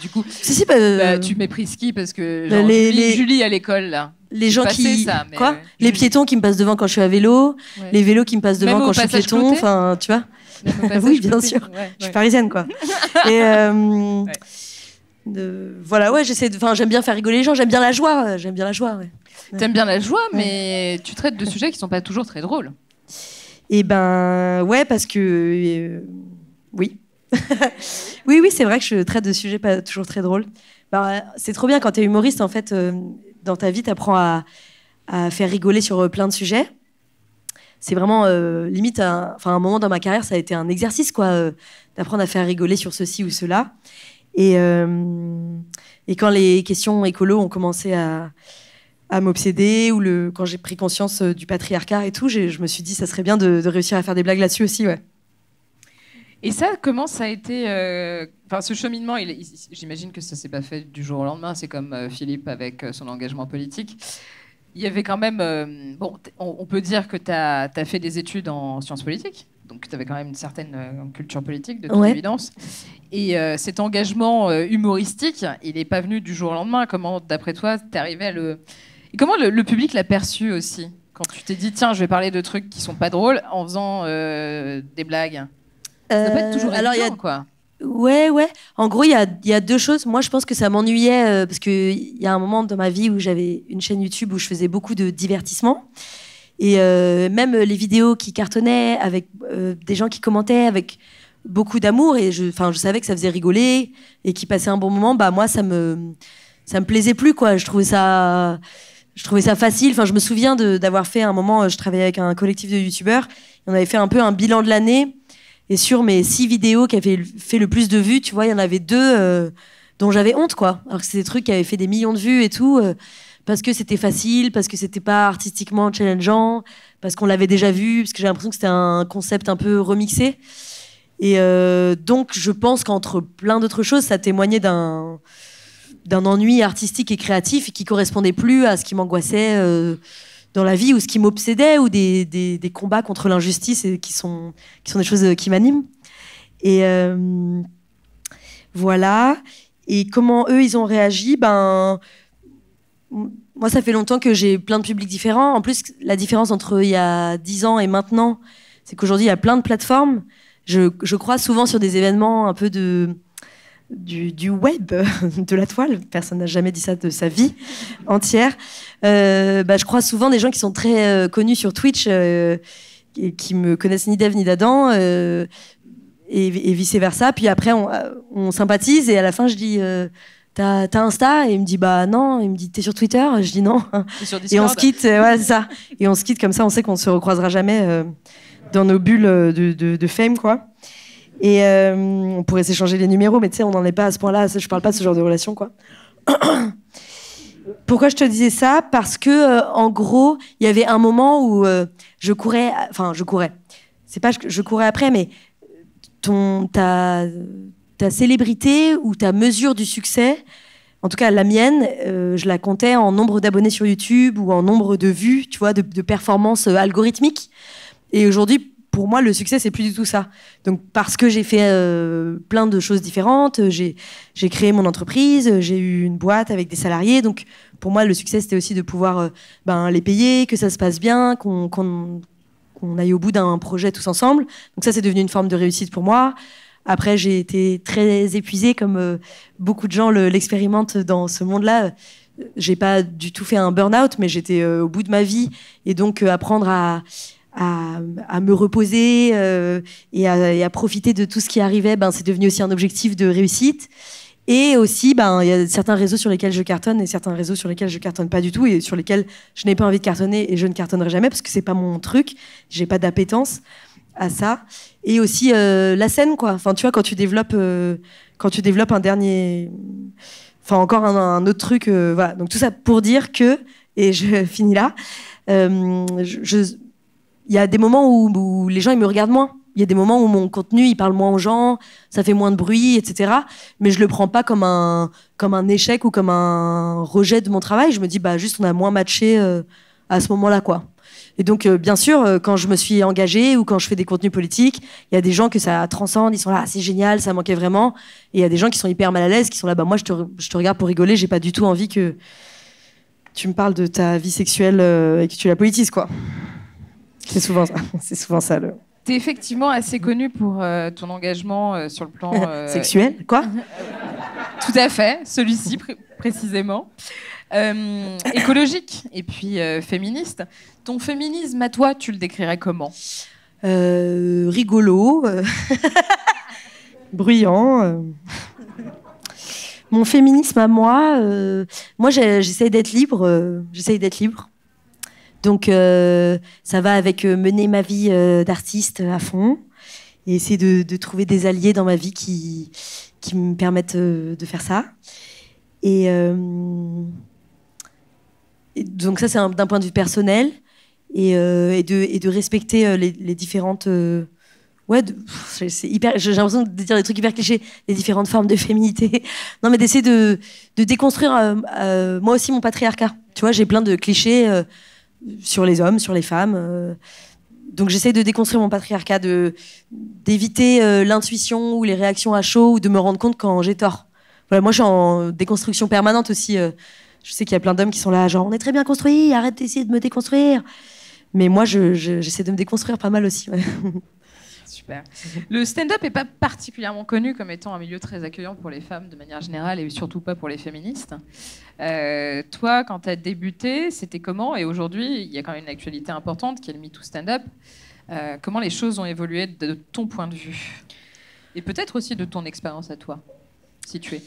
[SPEAKER 3] du coup, bah, bah, tu méprises qui parce que bah, les, Julie, à l'école Les gens qui quoi
[SPEAKER 7] Les piétons qui me passent devant quand je suis à vélo, les vélos qui me passent devant quand je suis piéton, enfin tu vois. oui, bien sûr. Je suis parisienne quoi. voilà ouais j'essaie enfin j'aime bien faire rigoler les gens j'aime bien la joie
[SPEAKER 3] euh, j'aime bien la joie t'aimes bien la joie mais tu traites de sujets qui sont pas toujours très drôles
[SPEAKER 7] et eh ben ouais parce que euh, oui oui oui c'est vrai que je traite de sujets pas toujours très drôles ben, c'est trop bien quand es humoriste en fait euh, dans ta vie t'apprends à à faire rigoler sur plein de sujets c'est vraiment limite enfin un moment dans ma carrière ça a été un exercice quoi d'apprendre à faire rigoler sur ceci ou cela. Et, euh, et quand les questions écolo ont commencé à, m'obséder, ou le, quand j'ai pris conscience euh, du patriarcat et tout, je me suis dit, ça serait bien de, réussir à faire des blagues là-dessus aussi, ouais.
[SPEAKER 3] Et ça, comment ça a été euh, Enfin, ce cheminement, j'imagine que ça s'est pas fait du jour au lendemain. C'est comme Philippe avec son engagement politique. Il y avait quand même. bon, on, peut dire que tu as, fait des études en sciences politiques donc tu avais quand même une certaine euh, culture politique, de toute évidence. Et euh, cet engagement euh, humoristique, il n'est pas venu du jour au lendemain. Comment, d'après toi, t'es arrivé à le... Et comment le, public l'a perçu aussi Quand tu t'es dit, tiens, je vais parler de trucs qui sont pas drôles en faisant des blagues Ça peut être toujours alors quoi. Ouais,
[SPEAKER 7] ouais. En gros, il y a, deux choses. Moi, je pense que ça m'ennuyait parce qu'il y a un moment dans ma vie où j'avais une chaîne YouTube où je faisais beaucoup de divertissement. Et euh, même les vidéos qui cartonnaient avec euh, des gens qui commentaient avec beaucoup d'amour et je, je savais que ça faisait rigoler et qu'ils passaient un bon moment, bah moi ça me ça me plaisait plus quoi. Je trouvais ça je trouvais ça facile. Enfin je me souviens d'avoir fait un moment, je travaillais avec un collectif de youtubeurs, on avait fait un peu un bilan de l'année et sur mes six vidéos qui avaient fait le plus de vues, tu vois, il y en avait deux. Euh, dont j'avais honte, quoi. Alors que c'est des trucs qui avaient fait des millions de vues et tout, euh, parce que c'était facile, parce que c'était pas artistiquement challengeant, parce qu'on l'avait déjà vu, parce que j'ai l'impression que c'était un concept un peu remixé. Et euh, donc, je pense qu'entre plein d'autres choses, ça témoignait d'un d'un ennui artistique et créatif qui correspondait plus à ce qui m'angoissait euh, dans la vie ou ce qui m'obsédait ou des, combats contre l'injustice qui sont, qui sont des choses qui m'animent. Et euh, voilà. Et comment eux, ils ont réagi Ben, moi, ça fait longtemps que j'ai plein de publics différents. En plus, la différence entre il y a 10 ans et maintenant, c'est qu'aujourd'hui, il y a plein de plateformes. Je, crois souvent sur des événements un peu du, web, de la toile. Personne n'a jamais dit ça de sa vie entière. Euh, ben, je crois souvent des gens qui sont très euh, connus sur Twitch qui me connaissent ni d'Ève ni d'Adam euh, et, vice versa. Puis après, euh, on, sympathise et à la fin, je dis. Euh, t'as Insta et il me dit bah non, il me dit t'es sur Twitter, je dis non et on se quitte, ouais c'est ça et on se quitte comme ça, on sait qu'on ne se recroisera jamais dans nos bulles de, de, fame quoi et on pourrait s'échanger les numéros mais tu sais on n'en est pas à ce point-là, je ne parle pas de ce genre de relation quoi. Pourquoi je te disais ça Parce que, euh, en gros, il y avait un moment où euh, je courais, enfin, je courais. C'est pas que je courais après, mais ton, ta, ta célébrité ou ta mesure du succès, en tout cas la mienne, euh, je la comptais en nombre d'abonnés sur YouTube ou en nombre de vues, tu vois, de, performances algorithmiques. Et aujourd'hui, pour moi, le succès, c'est plus du tout ça. Donc, parce que j'ai fait plein de choses différentes, j'ai j'ai créé mon entreprise, euh, j'ai eu une boîte avec des salariés. Donc, pour moi, le succès, c'était aussi de pouvoir euh, ben, les payer, que ça se passe bien, qu'on aille au bout d'un projet tous ensemble. Donc, ça, c'est devenu une forme de réussite pour moi. Après, j'ai été très épuisée, comme euh, beaucoup de gens l'expérimentent dans ce monde-là. J'ai pas du tout fait un burn-out, mais j'étais au bout de ma vie. Et donc, apprendre à à, me reposer euh, et, à, profiter de tout ce qui arrivait, ben, c'est devenu aussi un objectif de réussite. Et aussi, ben, il y a certains réseaux sur lesquels je cartonne et certains réseaux sur lesquels je cartonne pas du tout et sur lesquels je n'ai pas envie de cartonner et je ne cartonnerai jamais parce que c'est pas mon truc. J'ai pas d'appétence à ça. Et aussi euh, la scène, quoi. Enfin, tu vois, quand tu développes, euh, quand tu développes un dernier, enfin encore un, un autre truc. voilà. Donc tout ça pour dire que et je finis là. Euh, il y a des moments où, les gens ils me regardent moins. Il y a des moments où mon contenu il parle moins aux gens, ça fait moins de bruit, etc. Mais je le prends pas comme un comme un échec ou comme un rejet de mon travail. Je me dis bah juste on a moins matché euh, à ce moment-là quoi. Et donc, euh, bien sûr, quand je me suis engagée ou quand je fais des contenus politiques, il y a des gens que ça transcende, ils sont là, ah, c'est génial, ça manquait vraiment. Et il y a des gens qui sont hyper mal à l'aise, qui sont là, bah moi, je te, je te regarde pour rigoler, j'ai pas du tout envie que tu me parles de ta vie sexuelle euh, et que tu la politises, quoi. C'est souvent ça. C'est souvent ça le.
[SPEAKER 3] T'es effectivement assez connu pour euh, ton engagement euh, sur le plan sexuel, quoi. Tout à fait, celui-ci précisément. écologique et puis féministe. Ton féminisme à toi, tu le décrirais comment
[SPEAKER 7] Rigolo bruyant. Euh. Mon féminisme à moi, euh, moi j'essaie d'être libre, euh, j'essaie d'être libre. Donc ça va avec mener ma vie d'artiste à fond et essayer de, trouver des alliés dans ma vie qui, qui me permettent de faire ça. Et, donc ça c'est d'un point de vue personnel et, de, respecter les différentes ouais, c'est hyper, j'ai l'impression de dire des trucs hyper clichés, les différentes formes de féminité. Non, mais d'essayer de, de déconstruire euh, euh, moi aussi mon patriarcat. Tu vois, j'ai plein de clichés euh, sur les hommes, sur les femmes. donc j'essaie de déconstruire mon patriarcat, de d'éviter l'intuition ou les réactions à chaud ou de me rendre compte quand j'ai tort. Voilà, moi je suis en déconstruction permanente aussi. Je sais qu'il y a plein d'hommes qui sont là, genre, on est très bien construit, arrête d'essayer de me déconstruire. Mais moi, j'essaie je, de me déconstruire pas mal aussi.
[SPEAKER 3] Super. Le stand-up n'est pas particulièrement connu comme étant un milieu très accueillant pour les femmes de manière générale et surtout pas pour les féministes. Euh, toi, quand tu as débuté, c'était comment Et aujourd'hui, il y a quand même une actualité importante qui est le MeToo Stand-up. Euh, comment les choses ont évolué de ton point de vue Et peut-être aussi de ton expérience à toi, si tu es.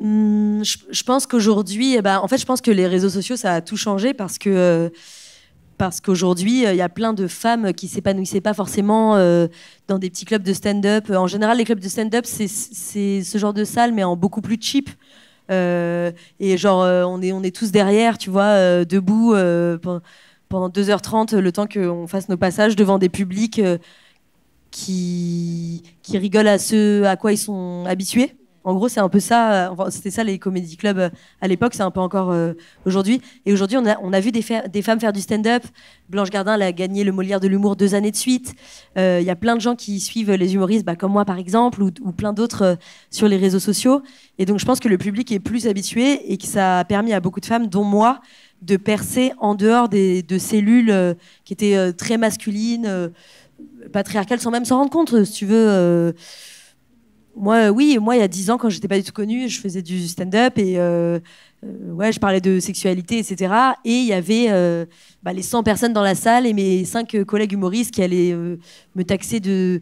[SPEAKER 7] Hmm, je, pense qu'aujourd'hui, eh ben, en fait, je pense que les réseaux sociaux, ça a tout changé parce que. Euh, parce qu'aujourd'hui, euh, il y a plein de femmes qui s'épanouissaient pas forcément euh, dans des petits clubs de stand-up. En général, les clubs de stand-up, c'est ce genre de salle, mais en beaucoup plus cheap. et genre, on, est, on est tous derrière, tu vois, debout pendant 2h30, le temps qu'on fasse nos passages devant des publics qui, qui rigolent à ce à quoi ils sont habitués. En gros, c'est un peu ça. Euh, c'était ça les comédie clubs euh, à l'époque. C'est un peu encore euh, aujourd'hui. Et aujourd'hui, on a, on a vu des, des femmes faire du stand-up. Blanche Gardin elle a gagné le Molière de l'humour deux années de suite. Il y a plein de gens qui suivent les humoristes, bah, comme moi par exemple, ou, plein d'autres sur les réseaux sociaux. Et donc, je pense que le public est plus habitué et que ça a permis à beaucoup de femmes, dont moi, de percer en dehors des, de cellules qui étaient très masculines patriarcale sans même s'en rendre compte. Si tu veux. Euh, moi, euh, oui, moi, il y a dix ans, quand j'étais pas du tout connue, je faisais du stand-up et euh, ouais, je parlais de sexualité, etc. Et il y avait bah, les 100 personnes dans la salle et mes cinq collègues humoristes qui allaient me taxer de,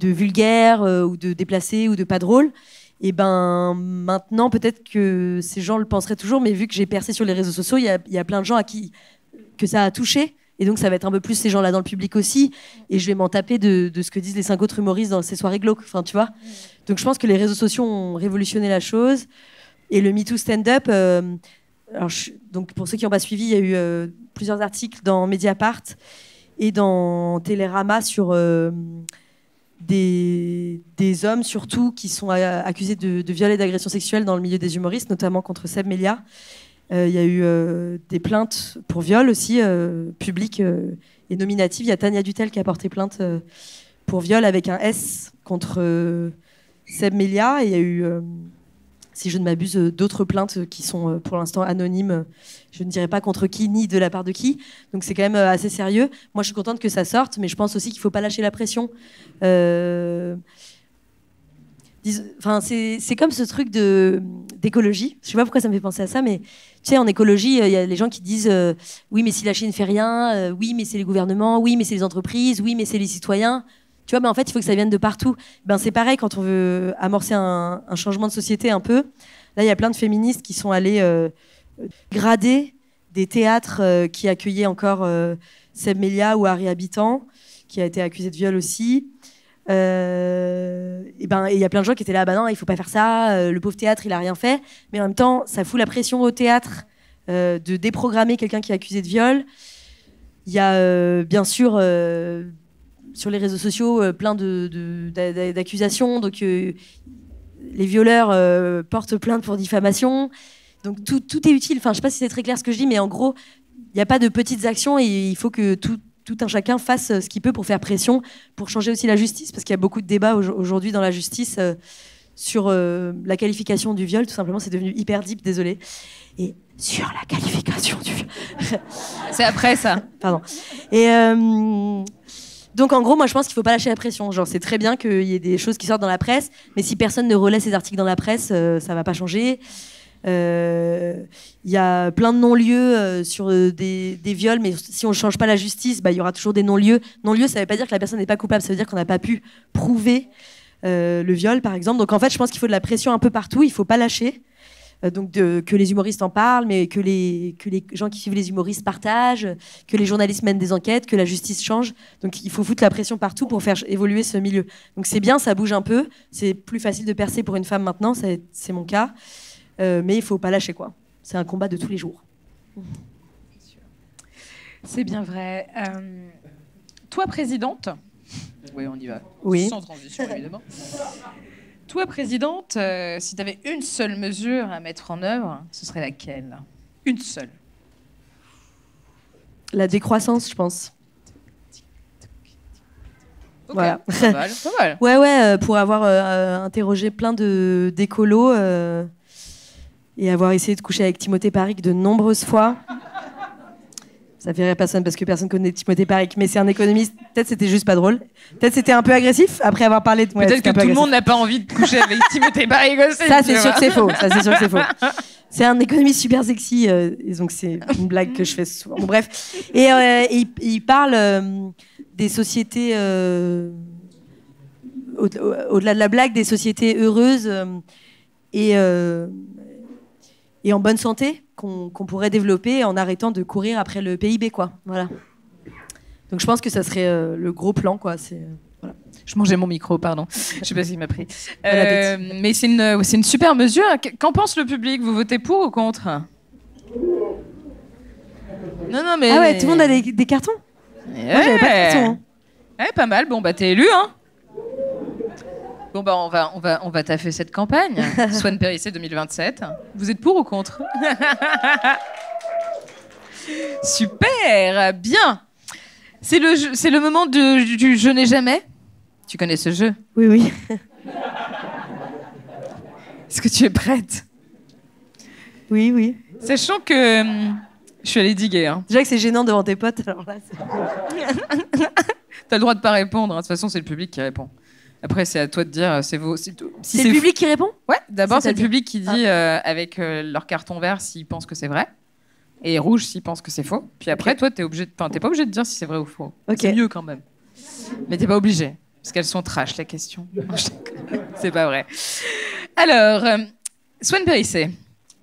[SPEAKER 7] vulgaire ou de déplacé ou de pas drôle. Et ben maintenant, peut-être que ces gens le penseraient toujours, mais vu que j'ai percé sur les réseaux sociaux, il y a, plein de gens à qui que ça a touché. Et donc, ça va être un peu plus ces gens-là dans le public aussi. Et je vais m'en taper de, ce que disent les cinq autres humoristes dans ces soirées glauques. Enfin, tu vois. Donc, je pense que les réseaux sociaux ont révolutionné la chose. Et le MeToo Stand-Up, euh, donc pour ceux qui n'ont pas suivi, il y a eu euh, plusieurs articles dans Mediapart et dans Télérama sur euh, des, hommes, surtout qui sont euh, accusés de, viol et d'agression sexuelle dans le milieu des humoristes, notamment contre Seb Melia. Euh, il y a eu euh, des plaintes pour viol aussi, publiques et nominatives. Il y a Tania Dutel qui a porté plainte pour viol avec un S contre Seb Melia. Et il y a eu, si je ne m'abuse, d'autres plaintes qui sont pour l'instant anonymes. Je ne dirais pas contre qui ni de la part de qui. Donc c'est quand même assez sérieux. Moi, je suis contente que ça sorte, mais je pense aussi qu'il ne faut pas lâcher la pression. Enfin, c'est comme ce truc d'écologie. Je sais pas pourquoi ça me fait penser à ça, mais tu sais, en écologie, il euh, y a les gens qui disent euh, oui, mais si la Chine fait rien, euh, oui, mais c'est les gouvernements, oui, mais c'est les entreprises, oui, mais c'est les citoyens. Tu vois, mais ben, en fait, il faut que ça vienne de partout. Ben c'est pareil quand on veut amorcer un, changement de société un peu. Là, il y a plein de féministes qui sont allées grader des théâtres qui accueillaient encore Seb Melia ou Harry Habitant, qui a été accusé de viol aussi. Euh, et ben, il y a plein de gens qui étaient là, ah bah non, il faut pas faire ça. Euh, le pauvre théâtre, il a rien fait. Mais en même temps, ça fout la pression au théâtre euh, de déprogrammer quelqu'un qui est accusé de viol. Il y a bien sûr sur les réseaux sociaux plein d'accusations. De, donc les violeurs portent plainte pour diffamation. Donc tout, est utile. Enfin, je sais pas si c'est très clair ce que je dis, mais en gros, il n'y a pas de petites actions et il faut que tout, un chacun fasse euh, ce qu'il peut pour faire pression, pour changer aussi la justice, parce qu'il y a beaucoup de débats aujourd'hui dans la justice euh, sur euh, la qualification du viol, tout simplement, c'est devenu hyper deep, désolé. Et sur la qualification du viol. c'est après ça. Pardon. Et donc en gros, moi je pense qu'il ne faut pas lâcher la pression. Genre, c'est très bien qu'il y ait des choses qui sortent dans la presse, mais si personne ne relaie ces articles dans la presse, ça euh, ça va pas changer. Euh, il y a plein de non-lieux euh, sur des, viols, mais si on ne change pas la justice, bah, il y aura toujours des non-lieux. non lieux ça ne veut pas dire que la personne n'est pas coupable, ça veut dire qu'on n'a pas pu prouver le viol, par exemple. Donc en fait, je pense qu'il faut de la pression un peu partout, il ne faut pas lâcher donc que les humoristes en parlent, mais que les, que les gens qui suivent les humoristes partagent, que les journalistes mènent des enquêtes, que la justice change. Donc il faut foutre la pression partout pour faire évoluer ce milieu. Donc c'est bien, ça bouge un peu. C'est plus facile de percer pour une femme maintenant, c'est mon cas. Euh, mais il faut pas lâcher quoi. C'est un combat de tous les jours.
[SPEAKER 3] C'est bien vrai. Euh, toi, présidente. Oui, on y va. Sans transition, évidemment. toi, présidente, euh, si tu avais une seule mesure à mettre en œuvre, ce serait laquelle Une seule.
[SPEAKER 7] La décroissance, je pense. Voilà. Pas mal, ouais, ouais, euh, pour avoir euh, interrogé plein de d'écolos euh, et avoir essayé de coucher avec Timothée Parik de nombreuses fois. Ça fait rire personne parce que personne connaît Timothée Parik, mais c'est un économiste. Peut-être c'était juste pas drôle. Peut-être c'était un peu agressif après avoir parlé de. moi Peut-être que tout le monde
[SPEAKER 3] n'a pas envie de coucher avec Timothée Parik c'est sûr c'est Ça, c'est sûr que c'est faux.
[SPEAKER 7] C'est un économiste super sexy, euh, donc c'est une blague que je fais souvent. bref. Et, euh, il, parle euh, des sociétés, au-delà de la blague, des sociétés heureuses et, en bonne santé qu'on pourrait développer en arrêtant de courir après le PIB, quoi. Voilà. Donc je pense que ça serait le gros plan, quoi. C'est. Je mangeais mon micro, pardon. Je ne sais pas s'il m'a pris. Euh,
[SPEAKER 3] mais c'est une, super mesure. Qu'en pense le public Vous votez pour ou contre Non, non, mais. Ah ouais, tout le monde a
[SPEAKER 7] des, cartons
[SPEAKER 3] pas de carton. Hein. pas mal. Bon, bah, t'es élu, hein Bon, bah, on va, on va, on va taffer cette campagne. Swan Périssé 2027. Vous êtes pour ou contre Super Bien c'est le, c'est le moment du, je n'ai jamais. Tu connais ce jeu Oui, oui. Est-ce que tu es prête Oui, oui. Sachant que hum, je suis allée diguer. Hein.
[SPEAKER 7] Déjà que c'est gênant devant tes potes, alors là.
[SPEAKER 3] T'as le droit de pas répondre. Hein. De toute façon, c'est le public qui répond. Après, c'est à toi de dire. Euh, c'est vous. c'est le public qui répond Ouais. D'abord, c'est le public qui dit ah. euh, avec euh, leur carton vert s'ils pensent que c'est vrai. Et rouge s'il pense que c'est faux. Puis après, toi, t'es obligé. De... pas obligé de dire si c'est vrai ou faux. C'est mieux quand même. Mais t'es pas obligé. Parce qu'elles sont trash, les questions. c'est pas vrai. Alors, Swanberry, euh, Swan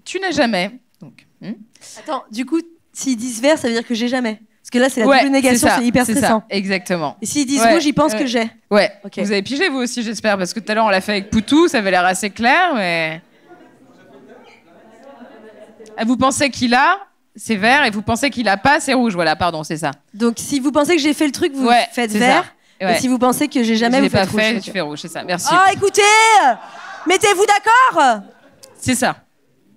[SPEAKER 3] tu n'as jamais. Donc, hmm Attends, du
[SPEAKER 7] coup, s'ils disent vert, ça veut dire que j'ai
[SPEAKER 3] jamais. Parce que là, c'est la double négation, c'est hyper stressant. exactement. Et s'ils disent rouge, ils pensent que j'ai. Ouais. Vous avez pigé, vous aussi, j'espère, parce que tout à l'heure, on l'a fait avec Poutou, ça avait l'air assez clair, mais. Ah, vous pensez qu'il a, c'est vert, et vous pensez qu'il a pas, c'est rouge. Voilà, pardon, c'est ça. Donc si vous pensez que j'ai fait le truc, vous faites vert. Et si vous pensez que j'ai jamais, vous faites rouge. fait, tu fais rouge, c'est ça. Merci. Oh, écoutez Mettez-vous
[SPEAKER 7] d'accord C'est ça.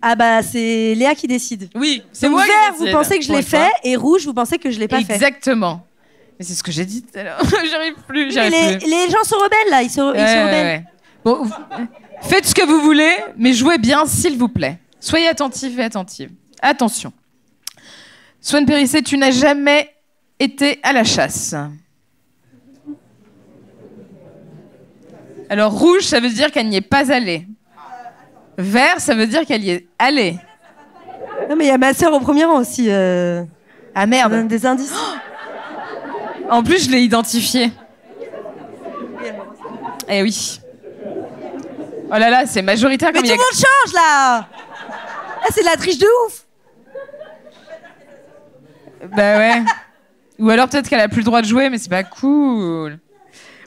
[SPEAKER 7] Ah bah, c'est Léa qui décide. Oui, c'est moi vert, vous pensez que je l'ai fait, et rouge, vous pensez que je l'ai pas fait. Exactement. Mais c'est ce que j'ai dit tout à l'heure. J'arrive
[SPEAKER 3] plus, les, gens sont rebelles, là. Ils sont, rebelles. Euh, faites ce que vous voulez, mais jouez bien, s'il vous plaît. Soyez attentifs et attentives. Attention. Swan Périssé, tu n'as jamais été à la chasse. Alors, rouge, ça veut dire qu'elle n'y est pas allée. Vert, ça veut dire qu'elle y est allée. Non, mais il y a ma sœur au premier rang aussi. Euh. Ah merde. des indices. en plus, je l'ai identifié. Eh oui. Oh là là, c'est majoritaire. Mais tout le monde change là. Ah, c'est la triche de ouf. Bah ouais. Ou alors peut-être qu'elle a plus le droit de jouer, mais c'est pas cool.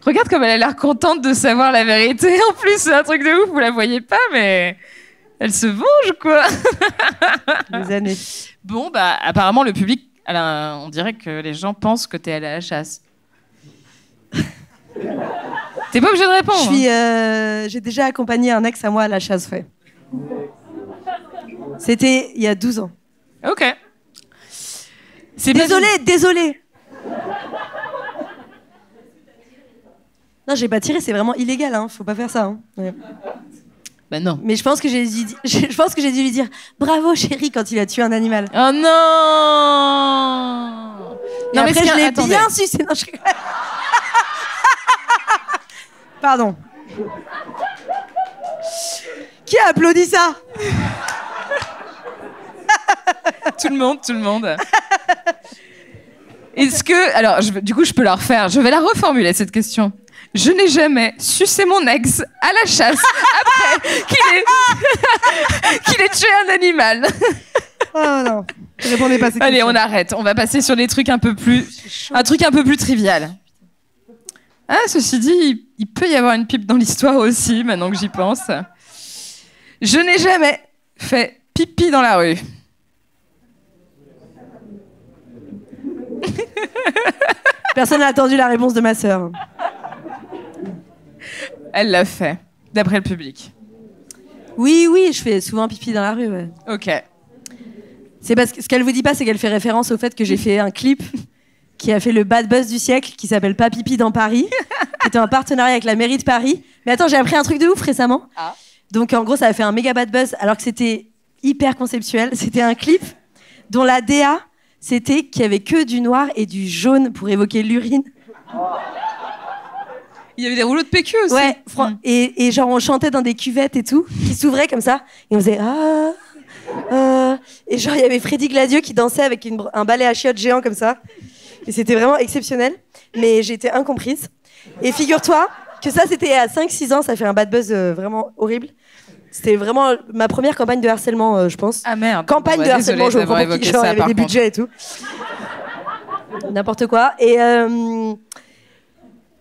[SPEAKER 3] Regarde comme elle a l'air contente de savoir la vérité. En plus, c'est un truc de ouf, vous la voyez pas, mais elle se venge, quoi. années. Bon, bah, apparemment, le public, on dirait que les gens pensent que t'es allé à la chasse.
[SPEAKER 7] t'es pas obligé de répondre. Hein. Euh, j'ai déjà accompagné un ex à moi à la chasse, ouais. C'était il y a 12 ans. Ok. Désolé, désolé. Non, j'ai pas tiré, c'est vraiment illégal, hein. faut pas faire ça. Hein. Ben non. Mais je pense que j'ai dû, lui dire bravo chéri, quand il a tué un animal. Oh non.
[SPEAKER 8] non mais je l'ai bien su
[SPEAKER 7] Pardon.
[SPEAKER 3] Qui a applaudi ça Tout le monde, tout le monde. Est-ce que alors du coup je peux la refaire. Je vais la reformuler cette question. Je n'ai jamais sucé mon ex à la chasse après qu'il ait... tué un animal. oh non. Allez, on arrête. On va passer sur des trucs un peu plus, un truc un peu plus trivial. Ah, ceci dit, il peut y avoir une pipe dans l'histoire aussi, maintenant que j'y pense. Je n'ai jamais fait pipi dans la rue.
[SPEAKER 7] Personne n'a attendu la réponse de ma
[SPEAKER 3] soeur Elle l'a fait, d'après le public. Oui,
[SPEAKER 7] oui, je fais souvent pipi dans la rue. Ok. C'est parce que ce qu'elle vous dit pas, c'est qu'elle fait référence au fait que j'ai fait un clip qui a fait le bad buzz du siècle, qui s'appelle Pas pipi dans Paris, qui un partenariat avec la mairie de Paris. Mais attends, j'ai appris un truc de ouf récemment. Ah. Donc en gros, ça a fait un méga bad buzz, alors que c'était hyper conceptuel. C'était un clip dont la DA, c'était qu'il n'y avait que du noir et du jaune pour évoquer l'urine. Il y avait des rouleaux de PQ aussi. Mm. et, genre on chantait dans des cuvettes et tout, qui s'ouvraient comme ça, et on faisait ah, ah. Et genre il y avait Freddy Gladieux qui dansait avec un balai à chiottes géant comme ça. Et c'était vraiment exceptionnel, mais j'étais incomprise. Et figure-toi que ça c'était à 5-6 ans, ça fait un bad buzz euh, vraiment horrible. C'était vraiment ma première campagne de harcèlement, euh, je pense. Ah merde. Campagne de bah, harcèlement, je des budgets et tout. N'importe quoi. Et, euh,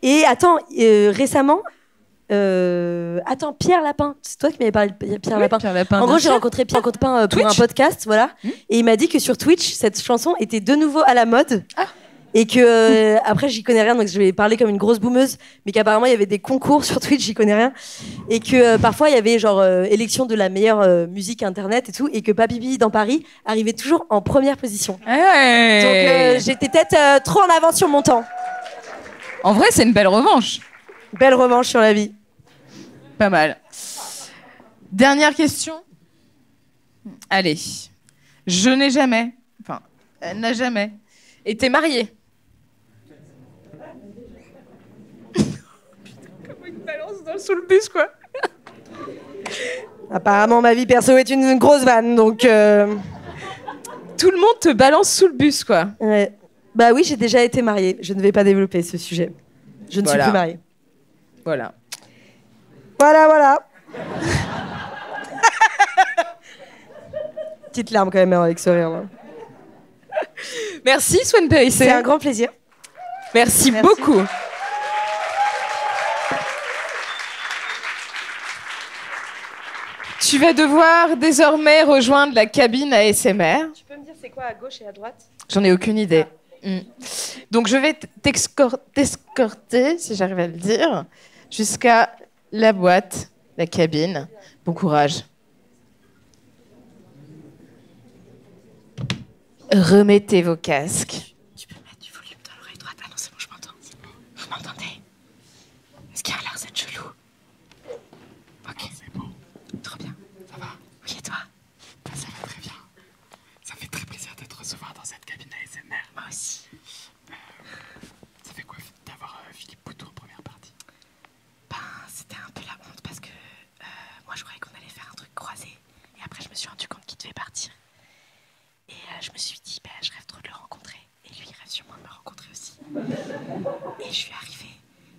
[SPEAKER 7] et attends, euh, récemment, attends, Pierre Lapin, c'est toi qui m'avais parlé de Pierre Lapin. En gros, j'ai rencontré Pierre Lapin pour un podcast, voilà. Hmm. Et il m'a dit que sur Twitch, cette chanson était de nouveau à la mode. Ah. Et que, après, j'y connais rien, donc je vais parler comme une grosse boumeuse mais qu'apparemment il y avait des concours sur Twitch, j'y connais rien, et que euh, parfois il y avait genre euh, élection de la meilleure euh, musique internet et tout, et que Papibi dans Paris arrivait toujours en première position. Eh Donc j'étais peut-être trop en avance sur mon temps. En vrai,
[SPEAKER 3] c'est une belle revanche. Belle revanche sur la vie. Pas mal. Dernière question. Allez. Je n'ai jamais Enfin, elle n'a jamais été mariée. balance sous le bus, quoi.
[SPEAKER 7] Apparemment, ma vie perso est une grosse vanne, donc. Euh, Tout le monde te
[SPEAKER 3] balance sous le bus, quoi.
[SPEAKER 7] Bah oui, j'ai déjà été mariée. Je ne vais pas développer ce sujet.
[SPEAKER 3] Je ne suis plus mariée. Voilà.
[SPEAKER 7] Voilà, voilà. Petite larme quand même hein, avec ce rire.
[SPEAKER 3] Merci Swan Perry C'est un grand plaisir. Merci, beaucoup. Tu vas devoir désormais rejoindre la cabine ASMR. Tu peux me dire
[SPEAKER 7] c'est quoi à gauche et à droite
[SPEAKER 3] J'en ai aucune idée. Ah. Mm. Donc je vais t'escorter, si j'arrive à le dire, jusqu'à la boîte, la cabine. Bon courage. Remettez vos casques. Tu peux mettre du volume dans l'oreille droite. Ah non, c'est bon, je m'entends. Vous m'entendez
[SPEAKER 1] Est-ce qu'il y a l'air d'être chelou Ok. C'est bon. Trop bien. Ça va Oui, et toi Ça va très bien. Ça fait très plaisir de te recevoir dans cette cabine ASMR. Moi aussi. Euh, ça fait quoi d'avoir euh, Philippe Poutou en première partie Ben, c'était un peu la honte parce que euh, moi je croyais
[SPEAKER 8] qu'on allait faire un truc croisé. Et après, je me suis rendu compte qu'il devait partir. Et euh, je me suis dit, bah, je rêve trop de le rencontrer. Et lui, il rêve sûrement de me rencontrer aussi. Et je suis arrivée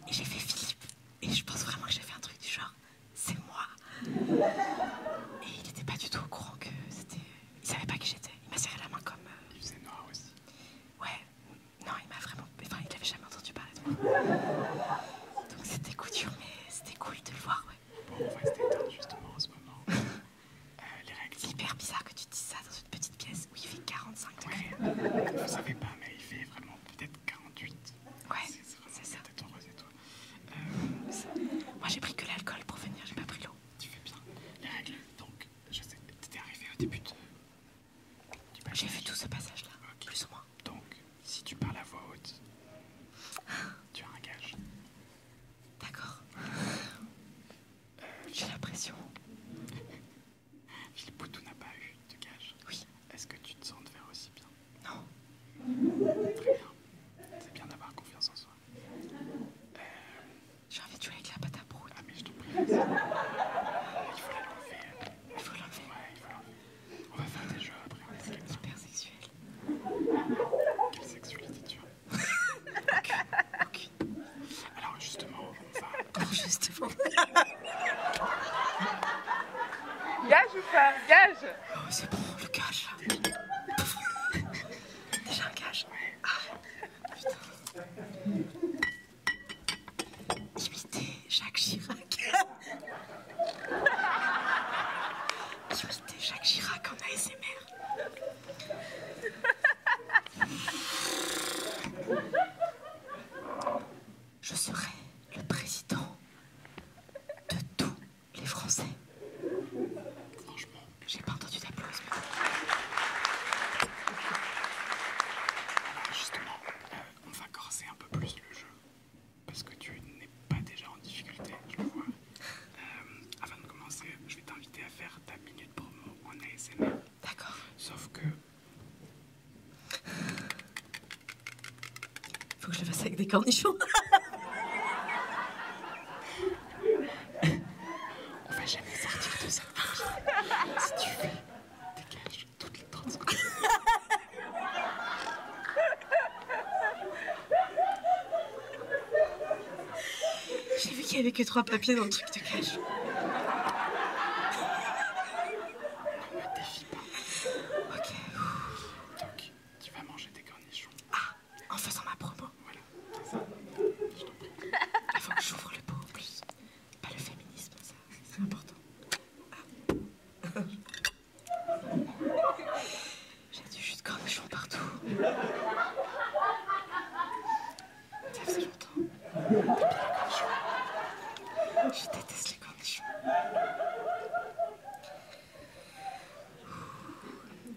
[SPEAKER 8] et j'ai fait Philippe. Et je pense vraiment que j'ai fait un truc du genre, c'est moi. Et il n'était pas du tout au courant que c'était il savait pas qui j'étais. Il m'a serré la main comme. Euh, il faisait noir aussi. Ouais. Non, il m'a vraiment. Enfin, il avait jamais entendu parler de moi. Donc c'était coup mais c'était cool de le voir, ouais. Bon, on va se détendre justement en ce moment. Euh, les règles. C'est hyper bizarre que tu te dises ça dans une petite pièce où il fait 45 degrés.
[SPEAKER 1] Vous savez pas, mais
[SPEAKER 8] il fait vraiment peut-être 48. Ouais. C'est ça. Peut-être toi. Euh, moi, j'ai pris que l'alcool pour venir, j'ai pas pris l'eau. Tu fais bien.
[SPEAKER 6] Les règles, donc,
[SPEAKER 1] je sais, t'étais arrivé au début de... J'ai vu tout ce passage-là, plus ou moins. Donc, si tu parles à voix haute, tu as un gage. D'accord. J'ai l'impression. Philippe Boutou n'a pas eu de gage. Oui. Est-ce que tu te sens de faire aussi bien Non. Très bien. C'est bien d'avoir confiance en soi. Euh, j'ai envie de jouer avec la pâte à Ah, mais je te
[SPEAKER 6] prie. Il faut l'enlever. Il faut l'enlever. Ouais, il faut l'enlever. On va faire des jeux après. C'est hyper sexuel. Quelle sexualité tu
[SPEAKER 1] as Ok, Alors, justement, on va. Alors, justement. gage ou pas Gage Oh, c'est bon, le gage.
[SPEAKER 8] Déjà un gage. Ouais. Ah. Imiter Jacques Chirac. Imiter Jacques Chirac en
[SPEAKER 6] ASMR.
[SPEAKER 8] Je serai le président de tous les Français. J'ai pas entendu ta d'applaudissements.
[SPEAKER 1] Justement, euh, on va corser un peu plus le jeu parce que tu n'es pas déjà en difficulté, tu vois. Euh, avant de commencer, je vais t'inviter à faire ta minute promo en ASMR. D'accord. Sauf que.
[SPEAKER 7] Faut que je le fasse avec des cornichons. on va jamais sortir
[SPEAKER 6] de ça. si tu fais, dégage toutes les 30
[SPEAKER 8] J'ai vu qu'il y avait que trois papiers dans le truc de cache.
[SPEAKER 6] Ne défie pas.
[SPEAKER 1] Ok. Donc, tu vas manger des cornichons. Ah, en faisant ma promo. Voilà, ça.
[SPEAKER 8] Il faut que j'ouvre le pot, plus, Pas le féminisme, ça, c'est important. Ah.
[SPEAKER 6] J'ai du jus de cornichon partout. Ça faisait
[SPEAKER 8] longtemps.
[SPEAKER 6] Je déteste les cornichons.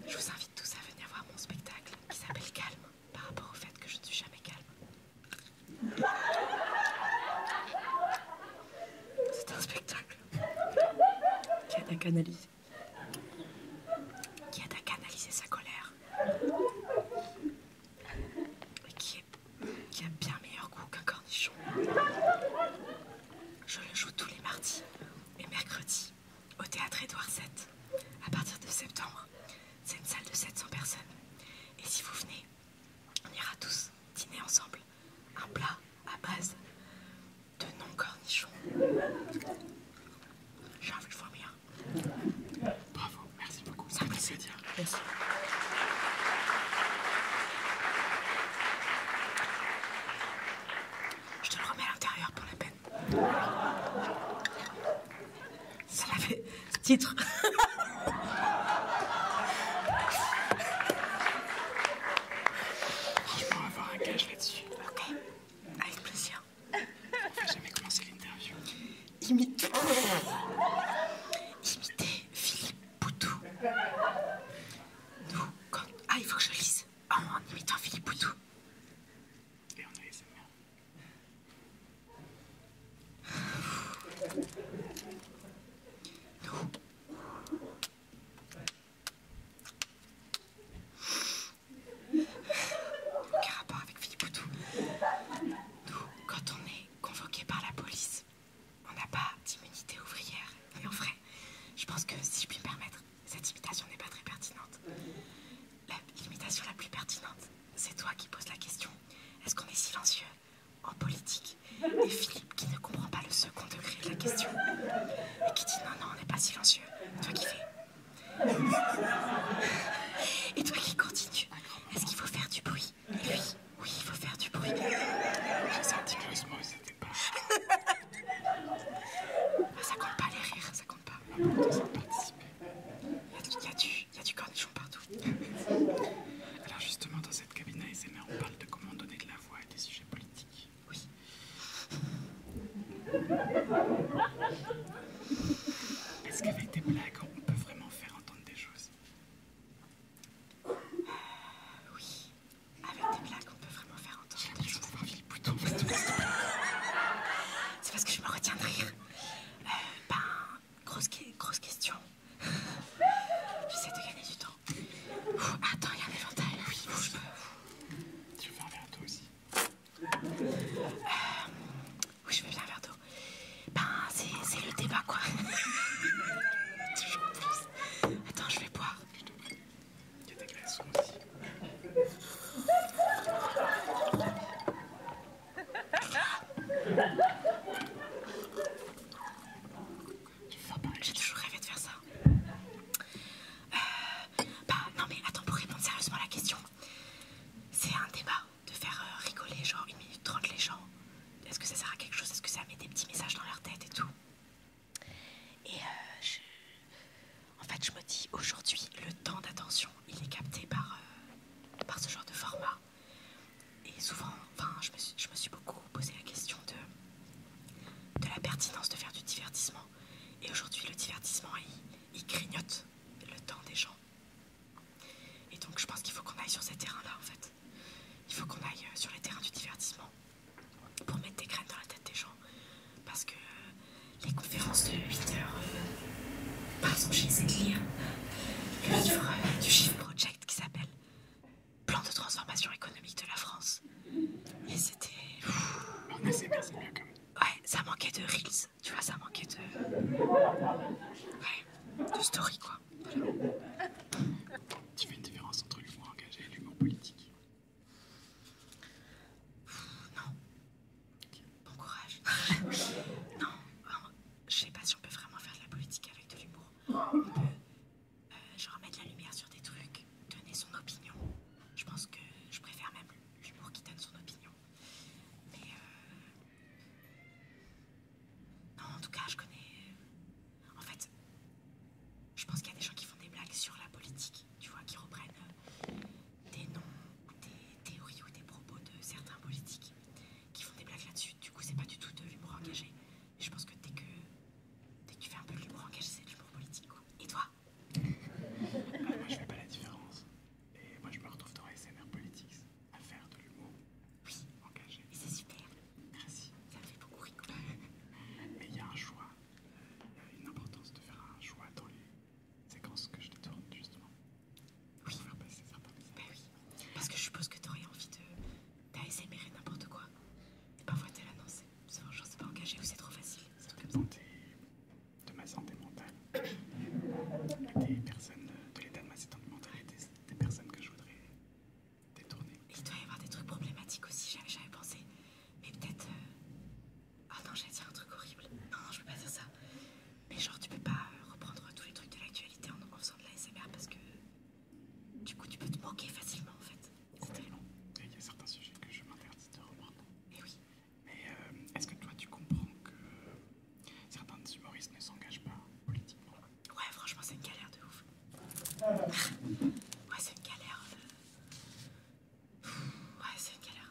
[SPEAKER 8] Je vous invite tous à venir voir mon spectacle qui s'appelle Calme par rapport au fait que je ne suis jamais
[SPEAKER 6] calme. C'est un spectacle
[SPEAKER 8] qui aide à canaliser, qui a canalisé sa colère, et qui a bien meilleur goût qu'un cornichon. Je le joue tous les mardis et mercredis au théâtre Édouard VII, à partir de septembre. C'est une salle de 700 personnes. Et si vous venez, on ira tous dîner ensemble. Un plat à base
[SPEAKER 1] de non-cornichons. J'ai envie de vomir. Bravo, merci beaucoup. Ça me fait plaisir. Merci.
[SPEAKER 8] Je te le remets à l'intérieur pour la peine. Ça l'avait. Titre.
[SPEAKER 1] Franchement, avoir un gage là-dessus. Ok. Avec plaisir. On va jamais commencer l'interview. Imite. Imiter Philippe Poutou. Nous, quand. Ah, il faut que je lise. Oh, en imitant Philippe Poutou. Et on a les
[SPEAKER 8] nous, rapport avec Philippe Boutou, quand on est convoqué par la police, on n'a pas d'immunité ouvrière, et en vrai, je pense que, si je puis me permettre, cette imitation n'est pas très pertinente l'imitation la plus pertinente, c'est toi qui poses la question. Est-ce qu'on est silencieux en politique Et Philippe qui ne comprend pas le second degré de la question et qui dit non, non, on n'est pas silencieux. Toi qui fais. Et toi qui continues. Est-ce qu'il faut faire du bruit oui, il faut faire du bruit. J'ai senti que c'était pas. Ah, ça compte pas les rires, ça compte pas. Ah, il y,
[SPEAKER 1] y a du cornichon partout. Alors justement, dans cette cabine ASMR, on parle de comment donner de la voix à des sujets politiques. Oui. Est-ce qu'avec des blagues, on peut vraiment faire entendre des choses euh, Oui. Avec des blagues, on peut vraiment faire entendre des choses.
[SPEAKER 8] C'est parce que je me retiens de rire. Euh, ben, grosse, question.
[SPEAKER 6] J'essaie
[SPEAKER 8] de gagner du temps. attends, il y a un éventail. Oui, Tu veux faire un verre d'eau aussi euh, Oui, je veux faire un verre d'eau. Ben, c'est le débat, quoi. Attends, je vais boire. Il y a aussi. pas j'ai toujours rêvé de faire ça. Euh, bah non mais attends, pour répondre sérieusement à la question, c'est un débat de faire euh, rigoler genre une minute trente les gens. Est-ce que ça sert à quelque chose Est-ce que ça met des petits messages dans leur tête et tout Et euh, je... En fait, je me dis aujourd'hui, le temps d'attention, il est capté par, euh, par ce genre de format. Et souvent, enfin, je me, suis, je me suis beaucoup posé la question de, de la pertinence de faire du divertissement. Et aujourd'hui, le divertissement, il, il grignote le temps des gens. Et donc, je pense qu'il faut qu'on aille sur ces terrains-là, en fait. Il faut qu'on aille euh, sur les terrains du divertissement pour mettre des graines dans la tête des gens. Parce que euh, les conférences de 8 heures, euh, par exemple, c'est de lire le livre euh, du Chiffre Project qui s'appelle Plan de transformation économique de la France. Et c'était. Ouais, ça manquait de reels, tu vois, ça manquait de.
[SPEAKER 1] de story quoi. Tu fais une différence entre l'humour engagé et l'humour politique
[SPEAKER 8] Non. Bon courage. non, je sais pas si on peut vraiment faire de la politique avec de l'humour. On peut, euh, genre, mettre la lumière sur des trucs, donner son opinion. Je pense que je préfère même l'humour qui donne son opinion. Mais euh, non, en tout cas, je connais. En fait, je pense qu'il y a des gens qui font des blagues sur la politique, tu vois, qui reprennent euh, des noms ou des théories ou des propos de certains politiques qui font des blagues là-dessus. Du coup, c'est pas du tout de l'humour engagé. Et je pense que dès que, tu fais un peu de l'humour engagé, c'est de l'humour politique. Et toi
[SPEAKER 6] Moi, je fais
[SPEAKER 1] pas la différence. Et moi, je me retrouve dans SNR Politics à faire de l'humour engagé. Et c'est super. Merci. Ça fait beaucoup rire. Mais il y a un choix. Il y a une importance de faire un choix dans les séquences que je te tourne, justement. Bah,
[SPEAKER 8] bah oui, Parce que je suppose que t'aurais envie de d'ASMR n'importe quoi. parfois t'es là, non, c'est genre c'est pas engagé ou c'est trop facile. Ça dépend de ma santé mentale. des personnes, de l'état de ma santé mentale et des, personnes que je voudrais détourner. Il doit y avoir des trucs problématiques aussi, j'avais pensé. Mais peut-être... Euh, Oh non, j'allais dire un truc horrible. Non, non, je peux pas dire ça. Mais genre, tu peux pas euh, reprendre tous les trucs de l'actualité en, en faisant de la SMR parce que du coup, tu peux te manquer facilement en fait. C'est tellement. Il y a certains sujets que je m'interdis de reprendre. Et eh oui. Mais euh, est-ce que toi, tu comprends que certains humoristes ne s'engagent pas politiquement Ouais, franchement, c'est une galère de ouf. Ah. ouais, c'est une galère. Ouais, c'est une galère.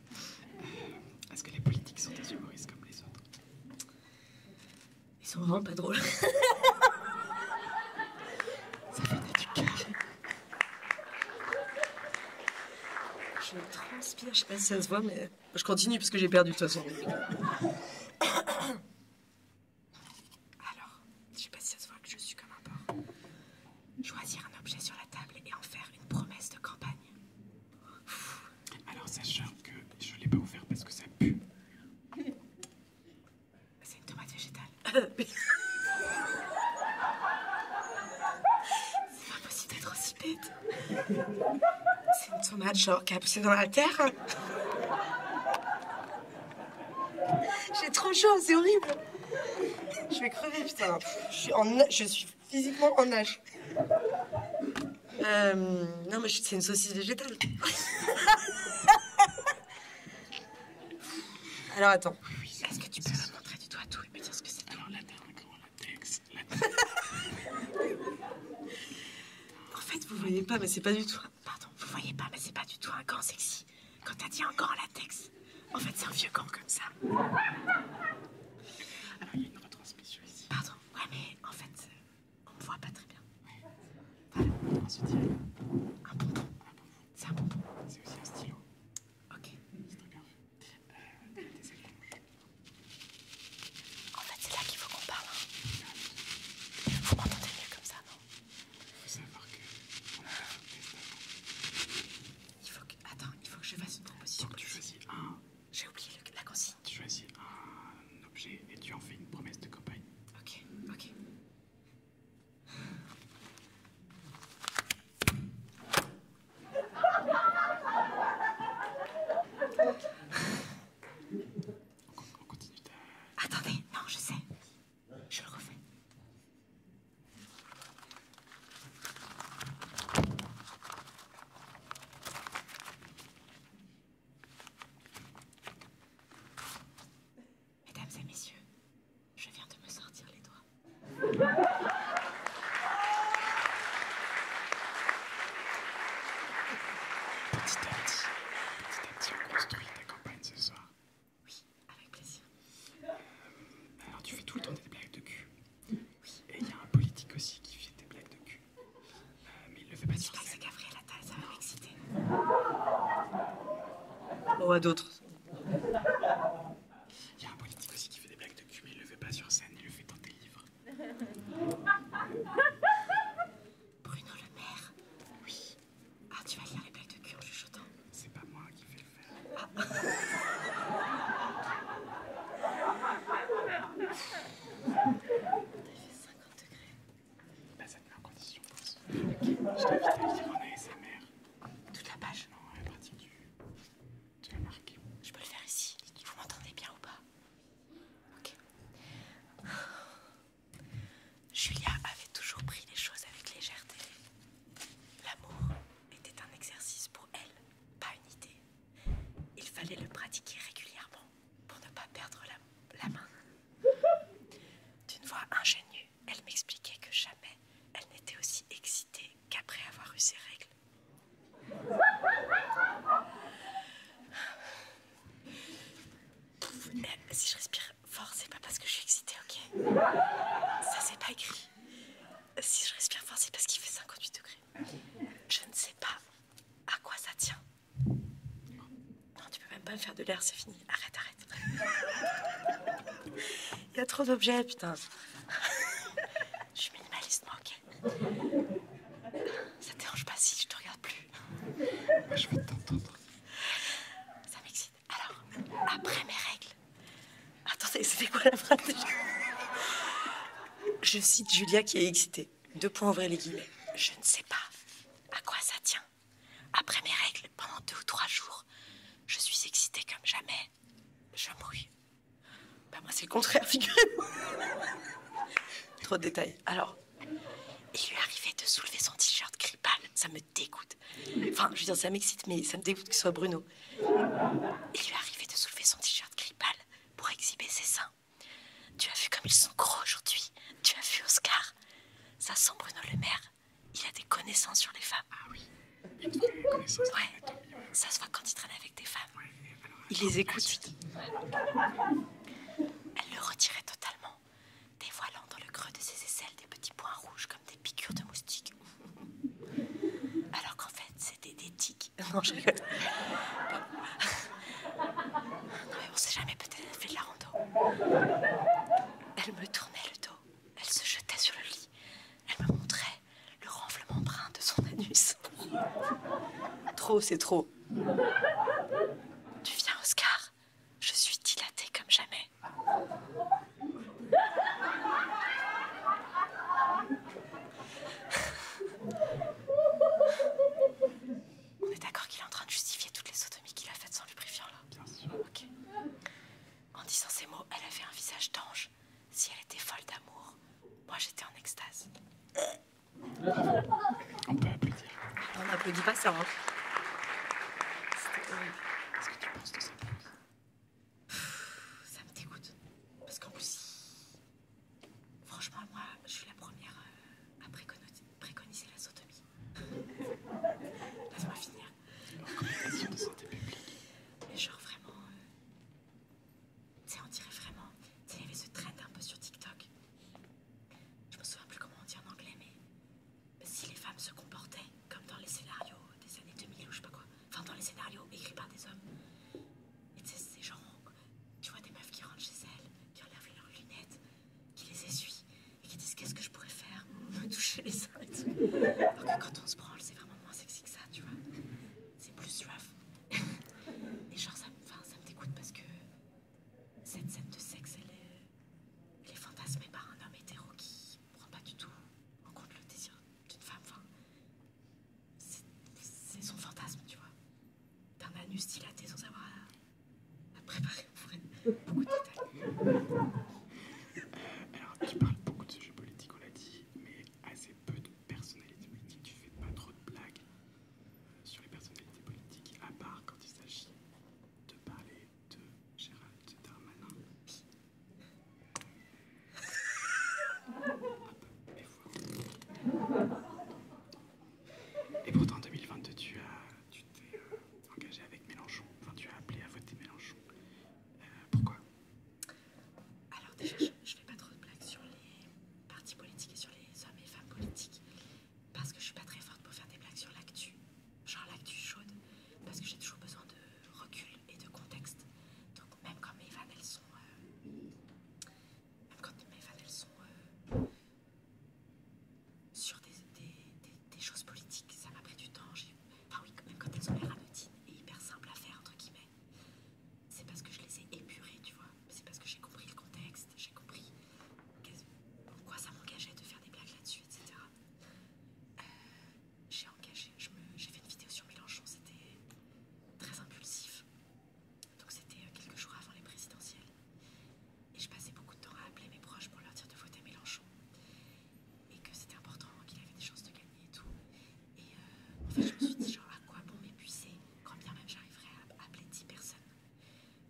[SPEAKER 1] est-ce que les politiques sont des humoristes comme les autres
[SPEAKER 8] Ils sont vraiment pas drôles. Ça
[SPEAKER 7] venait du cœur. Je transpire, je sais pas si ça se voit, mais je continue parce que
[SPEAKER 3] j'ai perdu de toute façon. Alors, je sais
[SPEAKER 8] pas si ça se voit que je suis comme un porc. Choisir un objet sur la table et en faire une
[SPEAKER 1] promesse de campagne. Alors, sachant que je ne l'ai pas ouvert parce que ça pue. C'est une tomate végétale.
[SPEAKER 5] C'est pas possible d'être aussi bête.
[SPEAKER 8] C'est
[SPEAKER 7] une tomate, genre, qui a poussé dans la terre. J'ai trop chaud, c'est horrible. Je vais crever, putain. Je suis, en physiquement en âge. Euh, non, mais c'est une saucisse végétale. Alors attends. Est-ce que tu peux me montrer du doigt
[SPEAKER 8] tout et me dire ce que c'est la
[SPEAKER 7] En fait, vous voyez pas, mais c'est pas du tout.
[SPEAKER 8] Pardon, vous voyez pas, mais c'est pas du tout un gant sexy. Quand t'as dit un gant en latex, en fait, c'est un
[SPEAKER 1] vieux gant comme ça.
[SPEAKER 6] Alors, il y a Pardon, ouais,
[SPEAKER 1] mais en fait, euh, on me voit pas très bien. On se euh, un C'est un C'est aussi un stylo. Ok. C'est euh, En fait, c'est là qu'il faut qu'on parle. Hein. mieux comme ça, non Il faut savoir que Attends, il faut que je fasse une proposition. tu choisis j'ai oublié la consigne. Tu choisis un objet et tu en fais une promesse de campagne. Ok, ok. Attendez, non, je sais. Je le refais. Mesdames et messieurs, je viens de me sortir les doigts. Petit à petit, petit à petit, on construit ta campagne ce soir. Oui, avec plaisir. Euh, alors, tu fais tout le temps des blagues de cul. Et il y a un politique aussi qui fait des blagues de cul. Euh, mais il le fait pas sur scène. Gabriel Attal, ça va m'exciter. Ou à d'autres. Il y a un politique aussi qui fait des blagues de cul, mais il le fait pas sur scène, il le fait dans tes livres.
[SPEAKER 6] Bruno Le
[SPEAKER 8] Maire Oui. Ah, tu vas lire les blagues de cul en chuchotant. C'est pas moi qui vais le
[SPEAKER 6] faire. Ah, je Je
[SPEAKER 1] en Toute la page Non, du. Tu marqué.
[SPEAKER 8] Je peux le faire ici. Vous m'entendez bien ou pas Ok. Julia avait toujours pris les choses avec légèreté. L'amour était un exercice pour elle, pas une idée. Il fallait le pratiquer régulièrement pour ne pas perdre la, main. D'une voix ingénue, elle m'expliquait que jamais elle n'était aussi excitée qu'après avoir eu ses règles. si je respire fort, c'est pas parce que je suis excitée, ok Ça, c'est pas écrit. Si je respire fort, c'est parce qu'il fait 58 degrés. Je ne sais pas
[SPEAKER 7] à quoi ça tient. Non, tu peux même pas me faire de l'air, c'est fini. Arrête, arrête. Il y a trop d'objets, putain.
[SPEAKER 8] Je suis minimaliste, moi, ok Ça te dérange pas si je te regarde plus. je veux t'entendre. Ça m'excite. Alors, après mes règles,
[SPEAKER 7] Attendez, c'était quoi la phrase déjà Je cite Julia qui est excitée. Deux points vrai, les guillemets. Je ne sais pas à quoi ça tient.
[SPEAKER 8] Après mes règles, pendant deux ou trois jours, je suis excitée comme jamais. Je mouille. Bah moi c'est le contraire, figurez-vous. Trop de détails. Alors, il lui arrivait de soulever son t-shirt grippal. Ça me dégoûte. Enfin, je veux dire, ça m'excite, mais ça me dégoûte que soit Bruno. Il lui arrivait de soulever son t-shirt grippal pour exhiber ses seins. Tu as vu comme ils sont gros aujourd'hui Tu as vu Oscar Ça sent Bruno Le Maire. Il a des connaissances sur les femmes. Ah oui. connaissances. Ouais. Ça se voit quand il traîne avec des femmes. Il les écoute. Elle le retirait totalement, dévoilant dans le creux de ses aisselles des petits points rouges comme des piqûres de moustiques. Alors qu'en fait, c'était des Non, je non, mais on sait jamais, peut-être la rando. Elle me tournait le dos. Elle se jetait sur le lit. Elle me montrait le renflement brun de son anus.
[SPEAKER 7] trop, c'est trop.
[SPEAKER 8] Tu viens, Oscar. Je suis dilatée comme jamais. On est d'accord qu'il est en train de justifier toutes les sodomies qu'il a faites sans lubrifiant, là Bien sûr. En disant ces mots, elle avait un visage d'ange. Si elle était folle d'amour, moi j'étais en extase. On peut applaudir. On n'applaudit pas ça. Hein. Qu'est-ce que tu penses de ça ça me dégoûte. Parce qu'en plus, franchement, moi, je suis la première euh, à préconiser la sodomie. Laisse-moi finir. de santé publique. Mais genre vraiment. Euh, tu sais, on dirait vraiment. Tu sais, il y avait ce trend un peu sur TikTok. Je me souviens plus comment on dit en anglais, mais si les femmes se comportaient comme dans les scénarios des années 2000 ou je sais pas quoi enfin dans les scénarios écrits par des hommes. Et tu sais, ces gens, tu vois des meufs qui rentrent chez elles, qui enlèvent leurs lunettes, qui les essuient et qui disent qu'est-ce que je pourrais faire, me toucher les seins Alors que quand on se branle, c'est vraiment moins sexy que ça, tu vois. C'est plus rough. et genre, ça, ça me dégoûte parce que cette scène de sexe, elle est, fantasmée par un homme hétéro qui prend pas du tout en compte le désir d'une femme. C'est son fantasme, tu vois. Un anus dilaté sans avoir à, préparer
[SPEAKER 1] pour être Beaucoup de détails. Alors, tu parles beaucoup de sujets politiques, on l'a dit, mais assez peu de personnalités politiques. Tu fais pas trop de blagues sur les personnalités politiques, à part quand il s'agit de parler de Gérald Darmanin. Et pourtant, en 2022, tu as, tu t'es euh, engagé avec Mélenchon. Enfin, tu as appelé à voter Mélenchon. Euh, pourquoi Alors déjà, je, ne fais pas trop de blagues sur les partis
[SPEAKER 8] politiques et sur les hommes et femmes politiques parce que je suis pas très forte pour faire des blagues sur l'actu, genre l'actu chaude, parce que j'ai toujours besoin de recul et de contexte. Donc même quand mes vannes elles sont euh, quand mes fans elles sont euh, sur des, choses politiques, ça m'a pris du temps. Enfin oui, même quand elles ont l'air anodines et hyper simples à faire, entre guillemets, c'est parce que je les ai épurées, tu vois. C'est parce que j'ai compris le contexte, j'ai compris pourquoi ça m'engageait de faire des blagues là-dessus, etc. Euh, j'ai engagé, j'ai fait une vidéo sur Mélenchon, c'était très impulsif. Donc c'était euh, quelques jours avant les présidentielles. Et je passais beaucoup de temps à appeler mes proches pour leur dire de voter Mélenchon. Et que c'était important, qu'il avait des chances de gagner et tout. Et euh, en fait, je me suis dit, genre, à quoi bon m'épuiser quand bien même j'arriverais à appeler 10 personnes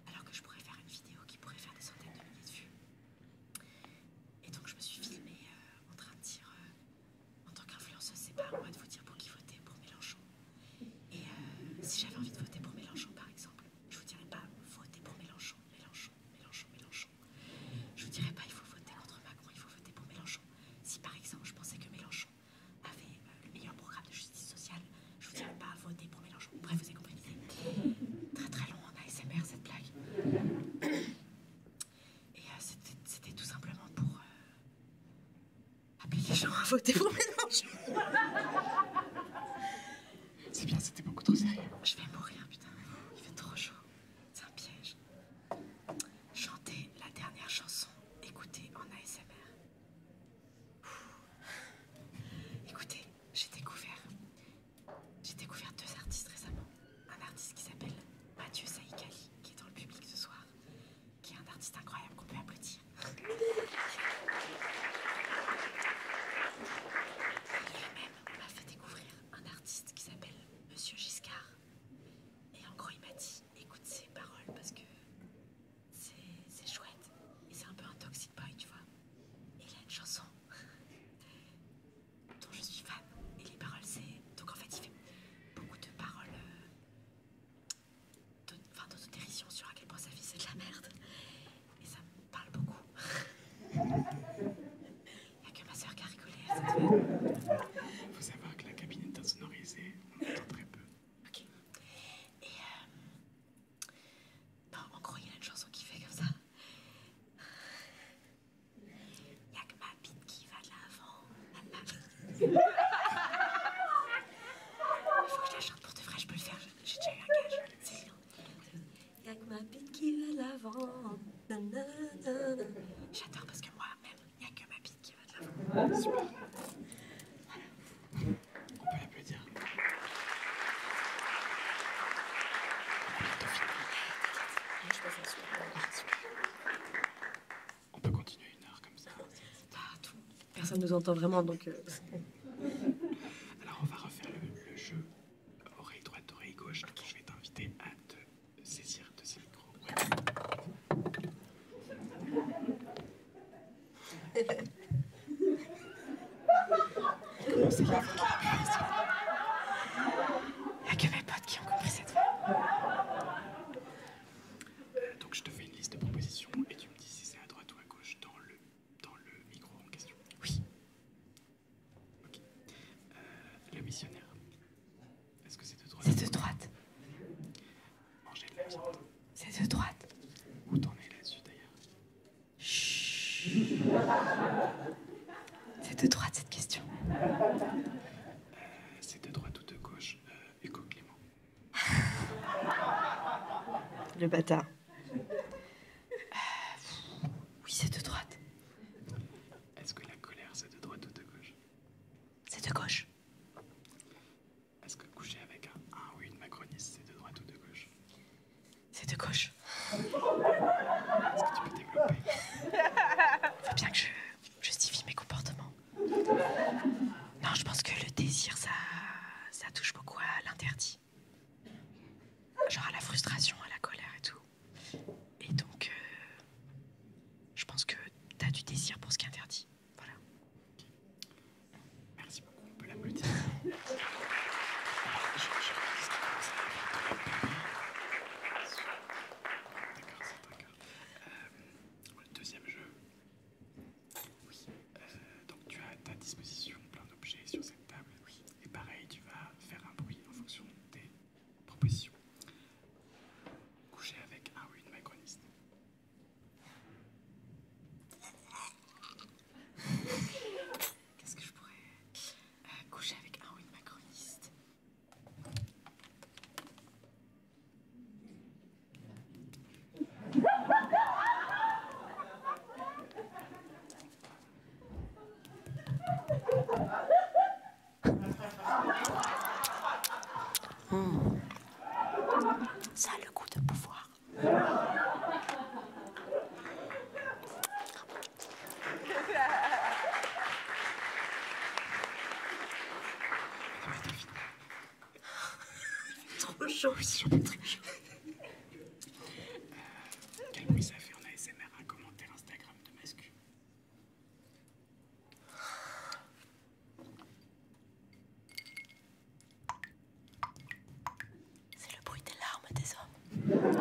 [SPEAKER 8] alors que je pourrais faire une vidéo qui pourrait faire des centaines de milliers de vues. Et donc je me suis filmée euh, en train de dire en tant qu'influenceuse, c'est pas à moi de vous dire pour qui voter pour Mélenchon. Et euh, si j'avais envie de voter pour Mélenchon, par exemple, je vous dirais pas voter pour Mélenchon, Mélenchon, Mélenchon, Mélenchon. Je vous dirais pas il faut voter contre Macron, il faut voter pour Mélenchon. Si par exemple je pensais que Mélenchon avait euh, le meilleur programme de justice sociale, je vous dirais pas voter pour Mélenchon. Bref, vous avez compris Très très long en ASMR cette blague. Et euh, c'était tout
[SPEAKER 6] simplement pour, Appelez les gens à voter pour Mélenchon. C'est
[SPEAKER 8] bien, c'était beaucoup trop sérieux. Je vais mourir, putain. Il fait trop chaud. C'est un piège. Chantez la dernière chanson écoutez en ASMR. Écoutez, j'ai découvert. J'ai découvert deux artistes récemment. Un artiste qui s'appelle Mathieu Saïkali, qui est dans le public ce soir, qui est un artiste incroyable qu'on peut applaudir. Lui-même m'a fait découvrir un artiste qui s'appelle Monsieur Giscard. Et en gros, il m'a dit écoute ses paroles parce que c'est chouette. Et c'est un peu un toxic boy, tu vois. Et il a une chanson dont je suis fan. Et les paroles, c'est. Donc en fait, il fait beaucoup de paroles. Euh, d'autodérision sur à quel point sa vie c'est de la merde. Et ça me parle beaucoup. Il n'y a que ma soeur qui a rigolé.
[SPEAKER 6] Il faut savoir que la cabine est insonorisée, on entend très peu. Ok. Et euh... non, en gros, il y a une chanson
[SPEAKER 8] qui fait comme ça. Il n'y a que ma rapide qui va de l'avant. Il faut que je la chante pour te vrai, je peux le faire. J'ai déjà eu un gage. C'est Y'a que ma bite qui va de l'avant. J'adore parce que moi-même, y'a que ma bite qui va de l'avant. Super. On peut l'applaudir.
[SPEAKER 7] Je passe un super. On peut continuer une heure comme ça. Personne Personne nous entend vraiment, donc. Euh, Alors, on va refaire le, jeu
[SPEAKER 1] oreille droite, oreille gauche. Donc, je vais t'inviter à te saisir de ces micros. Il n'y a que mes potes qui ont compris cette fois. Euh, donc je te fais une liste de propositions et tu me dis si c'est à droite ou à gauche dans le, dans le micro en question. Oui. Ok. Euh, le missionnaire. Est-ce que c'est de droite C'est de droite. Manger de la viande. C'est de droite. Où t'en es là-dessus d'ailleurs Chut.
[SPEAKER 8] C'est de droite cette question. Euh, c'est de droite ou de gauche, éco Clément le bâtard. Oui,
[SPEAKER 1] c'est de droite. Est-ce que la colère, c'est de droite ou de gauche C'est de gauche. Est-ce que coucher avec un, ah ou une macroniste, c'est de droite ou de gauche C'est de gauche. Est-ce que tu peux développer Faut bien que je justifie
[SPEAKER 8] mes comportements. Non, je pense que le désir, ça, touche beaucoup à l'interdit. Genre à la frustration, à la colère et tout. Et donc, euh, je pense que tu as du désir pour ce qui est interdit. Voilà. Merci beaucoup, on peut l'applaudir. D'accord,
[SPEAKER 1] euh, deuxième jeu. Oui. Euh, donc tu as à ta disposition plein d'objets sur cette table. Oui. Et pareil, tu vas faire un bruit en fonction des propositions. Coucher avec un ou une macroniste.
[SPEAKER 8] Qu'est-ce que je pourrais euh, coucher avec un ou une macroniste
[SPEAKER 6] Hmm. Ça a le goût de pouvoir. Trop chaud. Sur des trucs chauds. quel bruit ça fait en ASMR un commentaire Instagram de Mascu C'est le bruit des larmes des hommes.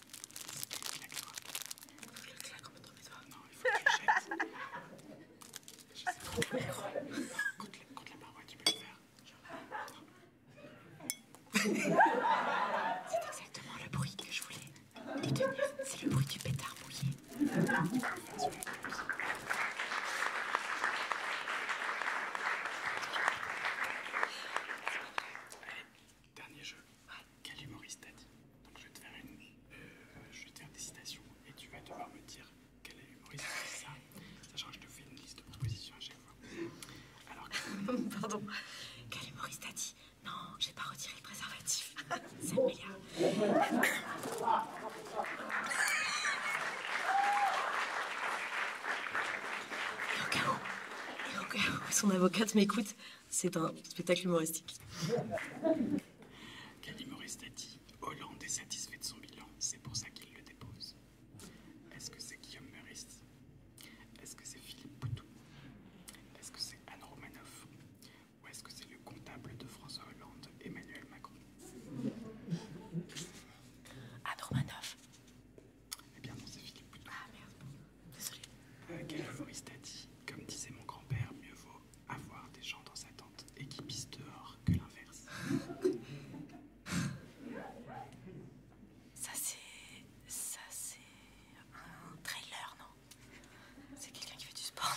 [SPEAKER 6] le
[SPEAKER 8] C'est
[SPEAKER 1] exactement le bruit
[SPEAKER 8] que je voulais C'est le bruit du pétard mouillé.
[SPEAKER 1] Dernier jeu. Ah. Quel humoriste a dit Donc je vais te faire une. Euh, je vais te faire des et tu vas devoir me dire quel est dit ça. Sachant que je te fais une liste de propositions à chaque fois.
[SPEAKER 8] Alors Pardon. Quel humoriste a dit Non, j'ai pas retiré le préservatif.
[SPEAKER 6] C'est le meilleur.
[SPEAKER 7] Et au cas où, et au cas où son avocate m'écoute, c'est un spectacle humoristique.
[SPEAKER 1] Cali-Morist a dit Hollande est satisfait de son bilan, c'est pour ça qu'il le dépose. Est-ce que c'est Guillaume Meurice Est-ce que c'est Philippe Poutou Est-ce que c'est Anne Romanoff Ou est-ce que c'est le comptable de François Hollande, Emmanuel Macron Anne Romanoff Eh bien non, c'est Philippe Poutou. Ah merde. Euh, quel humoriste a dit Comme disait mon grand-père, mieux vaut avoir des gens dans sa tente et qui pissent dehors que l'inverse. Ça, c'est. Ça, c'est. Un trailer, non C'est quelqu'un qui fait du sport,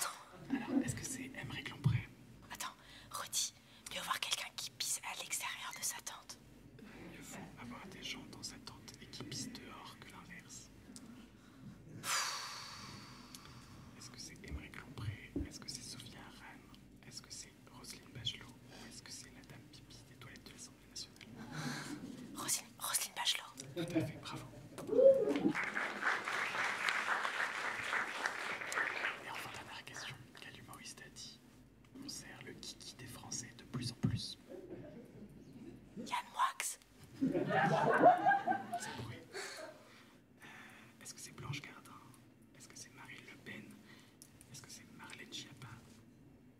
[SPEAKER 1] non Alors, est-ce que c'est M. Lompré
[SPEAKER 8] Attends, redis. Mieux avoir quelqu'un qui pisse à l'extérieur de sa tente. Euh, mieux
[SPEAKER 1] vaut avoir des gens dans sa tente et qui pissent dehors que l'inverse. Est-ce que c'est Emmerich Lompré Est-ce que c'est Sophia Aran Est-ce que c'est Roselyne Bachelot est-ce que c'est la dame pipi des toilettes de l'Assemblée nationale
[SPEAKER 8] Roselyne, Bachelot Tout à fait, bravo Et
[SPEAKER 1] enfin, la dernière question. Quel humoriste a dit On sert le kiki des Français de plus en plus Yann Moix est-ce que c'est Blanche Gardin Est-ce que c'est Marine Le Pen Est-ce que c'est Marlène Schiappa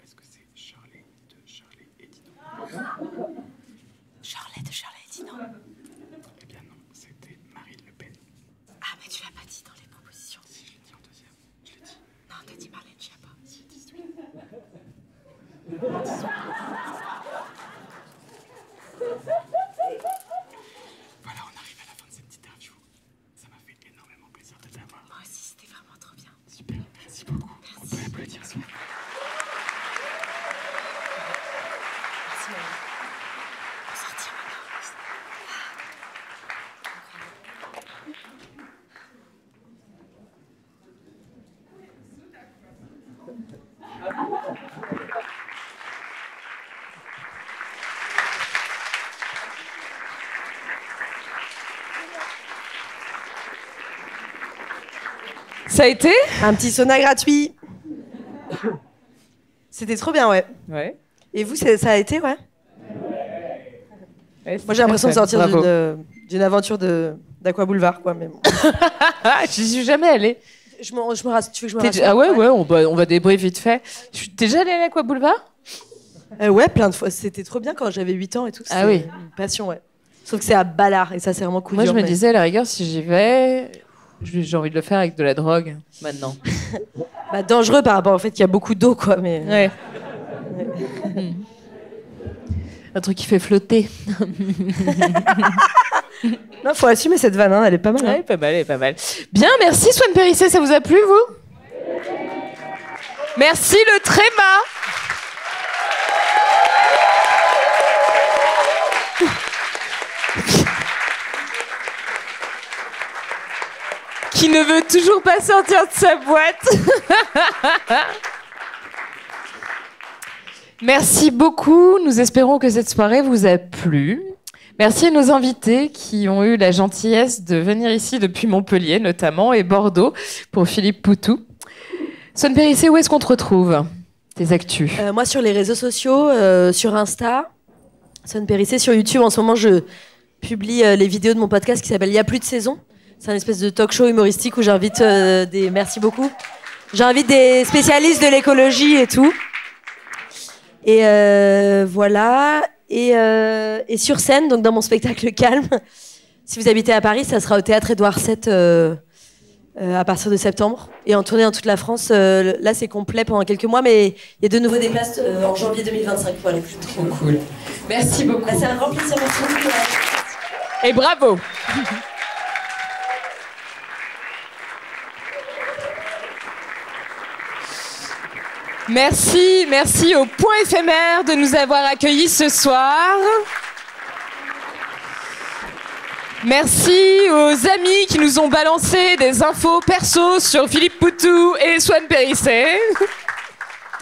[SPEAKER 5] Est-ce que c'est Charlie de Charlie et Dino Charlie de Charlie et Dino Eh bien non, c'était
[SPEAKER 8] Marine Le Pen. Ah, mais tu l'as pas dit dans les propositions. Si, je l'ai dit en deuxième. Je l'ai dit. Non, t'as dit Marlène Schiappa.
[SPEAKER 6] Voilà,
[SPEAKER 1] on arrive à la fin de cette petite interview. Ça m'a fait énormément plaisir de t'avoir. Moi aussi, c'était vraiment trop bien. Super, merci beaucoup. Merci. On peut applaudir Merci, On maintenant.
[SPEAKER 7] Ça a été Un petit sauna gratuit. C'était trop bien, ouais. Ouais. Et vous, ça a été, ouais, Moi, j'ai l'impression de sortir d'une
[SPEAKER 3] d'une aventure de d'Aqua Boulevard, quoi. Mais
[SPEAKER 7] J'y suis jamais allée. Je me, je tu veux que je me Ah ouais,
[SPEAKER 3] on va, débriefer vite fait. Tu es déjà allée à l'Aqua Boulevard
[SPEAKER 7] euh, ouais, plein de fois. C'était trop bien quand j'avais 8 ans et tout. Ah C'était oui. Une passion, ouais. Sauf que c'est à Ballard et ça, c'est vraiment cool. Moi, je me disais, à
[SPEAKER 3] la rigueur, si j'y vais, j'ai envie de le faire avec de la drogue, maintenant. Bah, dangereux par rapport au fait qu'il y a beaucoup d'eau, quoi. Mais... Hmm. Un truc qui fait flotter. non, faut assumer cette vanne, hein, elle est pas mal. Hein. pas mal, elle est pas mal. Bien, merci Swan Périssé, ça vous a plu, vous Merci le tréma. Qui ne veut toujours pas sortir de sa boîte. Merci beaucoup. Nous espérons que cette soirée vous a plu. Merci à nos invités qui ont eu la gentillesse de venir ici depuis Montpellier notamment et Bordeaux pour Philippe Poutou. Sonne Périssé, où est-ce qu'on te retrouve Tes actus euh, Moi
[SPEAKER 7] sur les réseaux sociaux, euh, sur Insta, Sonne Périssé, sur YouTube. En ce moment, je publie euh, les vidéos de mon podcast qui s'appelle Il n'y a plus de saison. C'est un espèce de talk show humoristique où j'invite des... Merci beaucoup. J'invite des spécialistes de l'écologie et tout. Et euh, voilà. Euh, et, sur scène, donc dans mon spectacle Calme, si vous habitez à Paris, ça sera au théâtre Édouard VII euh, à partir de septembre. Et en tournée dans toute la France, là c'est complet pendant quelques mois, mais il y a de nouveaux des en janvier 2025. Voilà, trop cool. Merci beaucoup. Ah, c'est un grand plaisir.
[SPEAKER 3] Et bravo. Merci, merci au Point éphémère de nous avoir accueillis ce soir. Merci aux amis qui nous ont balancé des infos perso sur Philippe Poutou et Swan Périssé.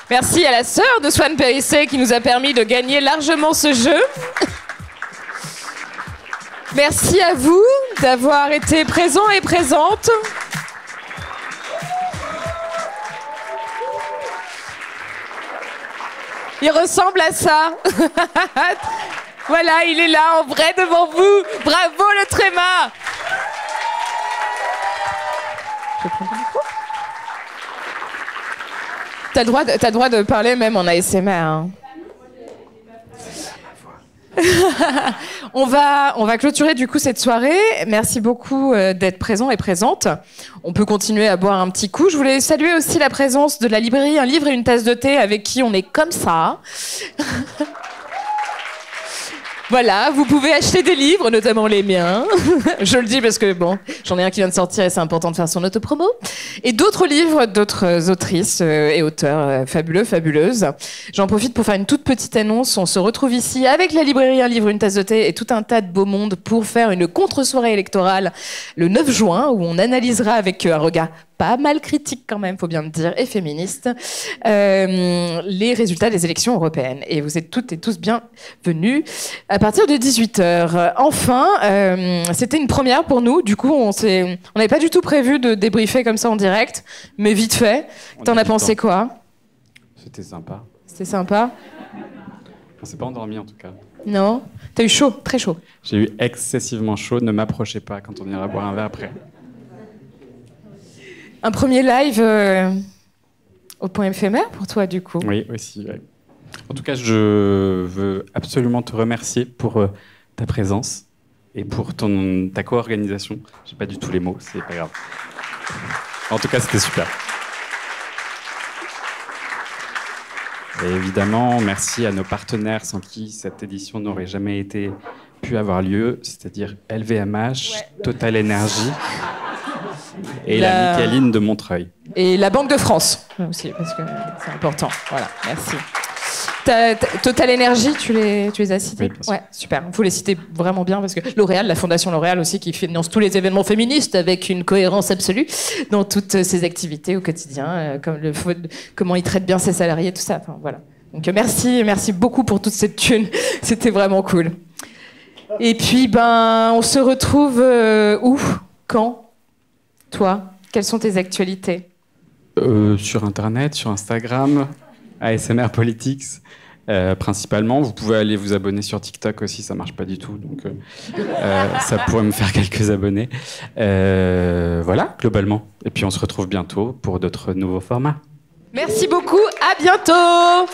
[SPEAKER 3] Merci à la sœur de Swan Périssé qui nous a permis de gagner largement ce jeu. Merci à vous d'avoir été présents et présentes. Il ressemble à ça. voilà, il est là en vrai devant vous. Bravo le tréma. T'as le droit, de, droit de parler même en ASMR. Hein. on, va, on va clôturer du coup cette soirée. Merci beaucoup euh, d'être présent et présente. On peut continuer à boire un petit coup. Je voulais saluer aussi la présence de la librairie Un livre et une tasse de thé avec qui on est comme ça. voilà, vous pouvez acheter des livres, notamment les miens. Je le dis parce que bon, j'en ai un qui vient de sortir et c'est important de faire son autopromo et d'autres livres d'autres autrices euh, et auteurs euh, fabuleux, fabuleuses. J'en profite pour faire une toute petite annonce. On se retrouve ici avec la librairie Un livre, une tasse de thé et tout un tas de beau monde pour faire une contre-soirée électorale le 9 juin où on analysera avec euh, un regard pas mal critique quand même, faut bien le dire, et féministe, les résultats des élections européennes. Et vous êtes toutes et tous bienvenus à partir de 18h. Enfin, euh, c'était une première pour nous. Du coup, on s'est, on n'avait pas du tout prévu de débriefer comme ça en direct, mais vite fait. T'en as pensé quoi
[SPEAKER 2] C'était sympa.
[SPEAKER 3] C'était sympa.
[SPEAKER 2] On s'est pas endormi en tout cas. Non. as eu chaud, très chaud. J'ai eu excessivement chaud. Ne m'approchez pas quand on ira boire un verre après.
[SPEAKER 3] Un premier live euh, au point éphémère pour toi du coup. Oui,
[SPEAKER 2] aussi. En tout cas, je veux absolument te remercier pour euh, ta présence et pour ton, ta co-organisation. J'ai pas du tout les mots, c'est pas grave. En tout cas, c'était super. Et évidemment, merci à nos partenaires sans qui cette édition n'aurait jamais été pu avoir lieu, c'est-à-dire LVMH, Total Energy et la... la de Montreuil.
[SPEAKER 3] Et la Banque de France aussi, parce que c'est important. Voilà, merci. Total Energy, tu les, as cités Ouais, super. Il faut les citer vraiment bien parce que L'Oréal, la fondation L'Oréal aussi, qui finance tous les événements féministes avec une cohérence absolue dans toutes ses activités au quotidien, euh, comme le, comment ils traitent bien ses salariés, tout ça. Enfin, voilà. Donc merci, merci beaucoup pour toute cette thune. C'était vraiment cool. Et puis, ben, on se retrouve euh, où Quand toi, quelles sont tes actualités
[SPEAKER 2] euh, Sur Internet, sur Instagram, ASMR Politics. Euh, principalement, vous pouvez aller vous abonner sur TikTok aussi, ça marche pas du tout, donc euh, ça pourrait me faire quelques abonnés. voilà, globalement. Et puis on se retrouve bientôt pour d'autres nouveaux formats.
[SPEAKER 3] Merci beaucoup, à bientôt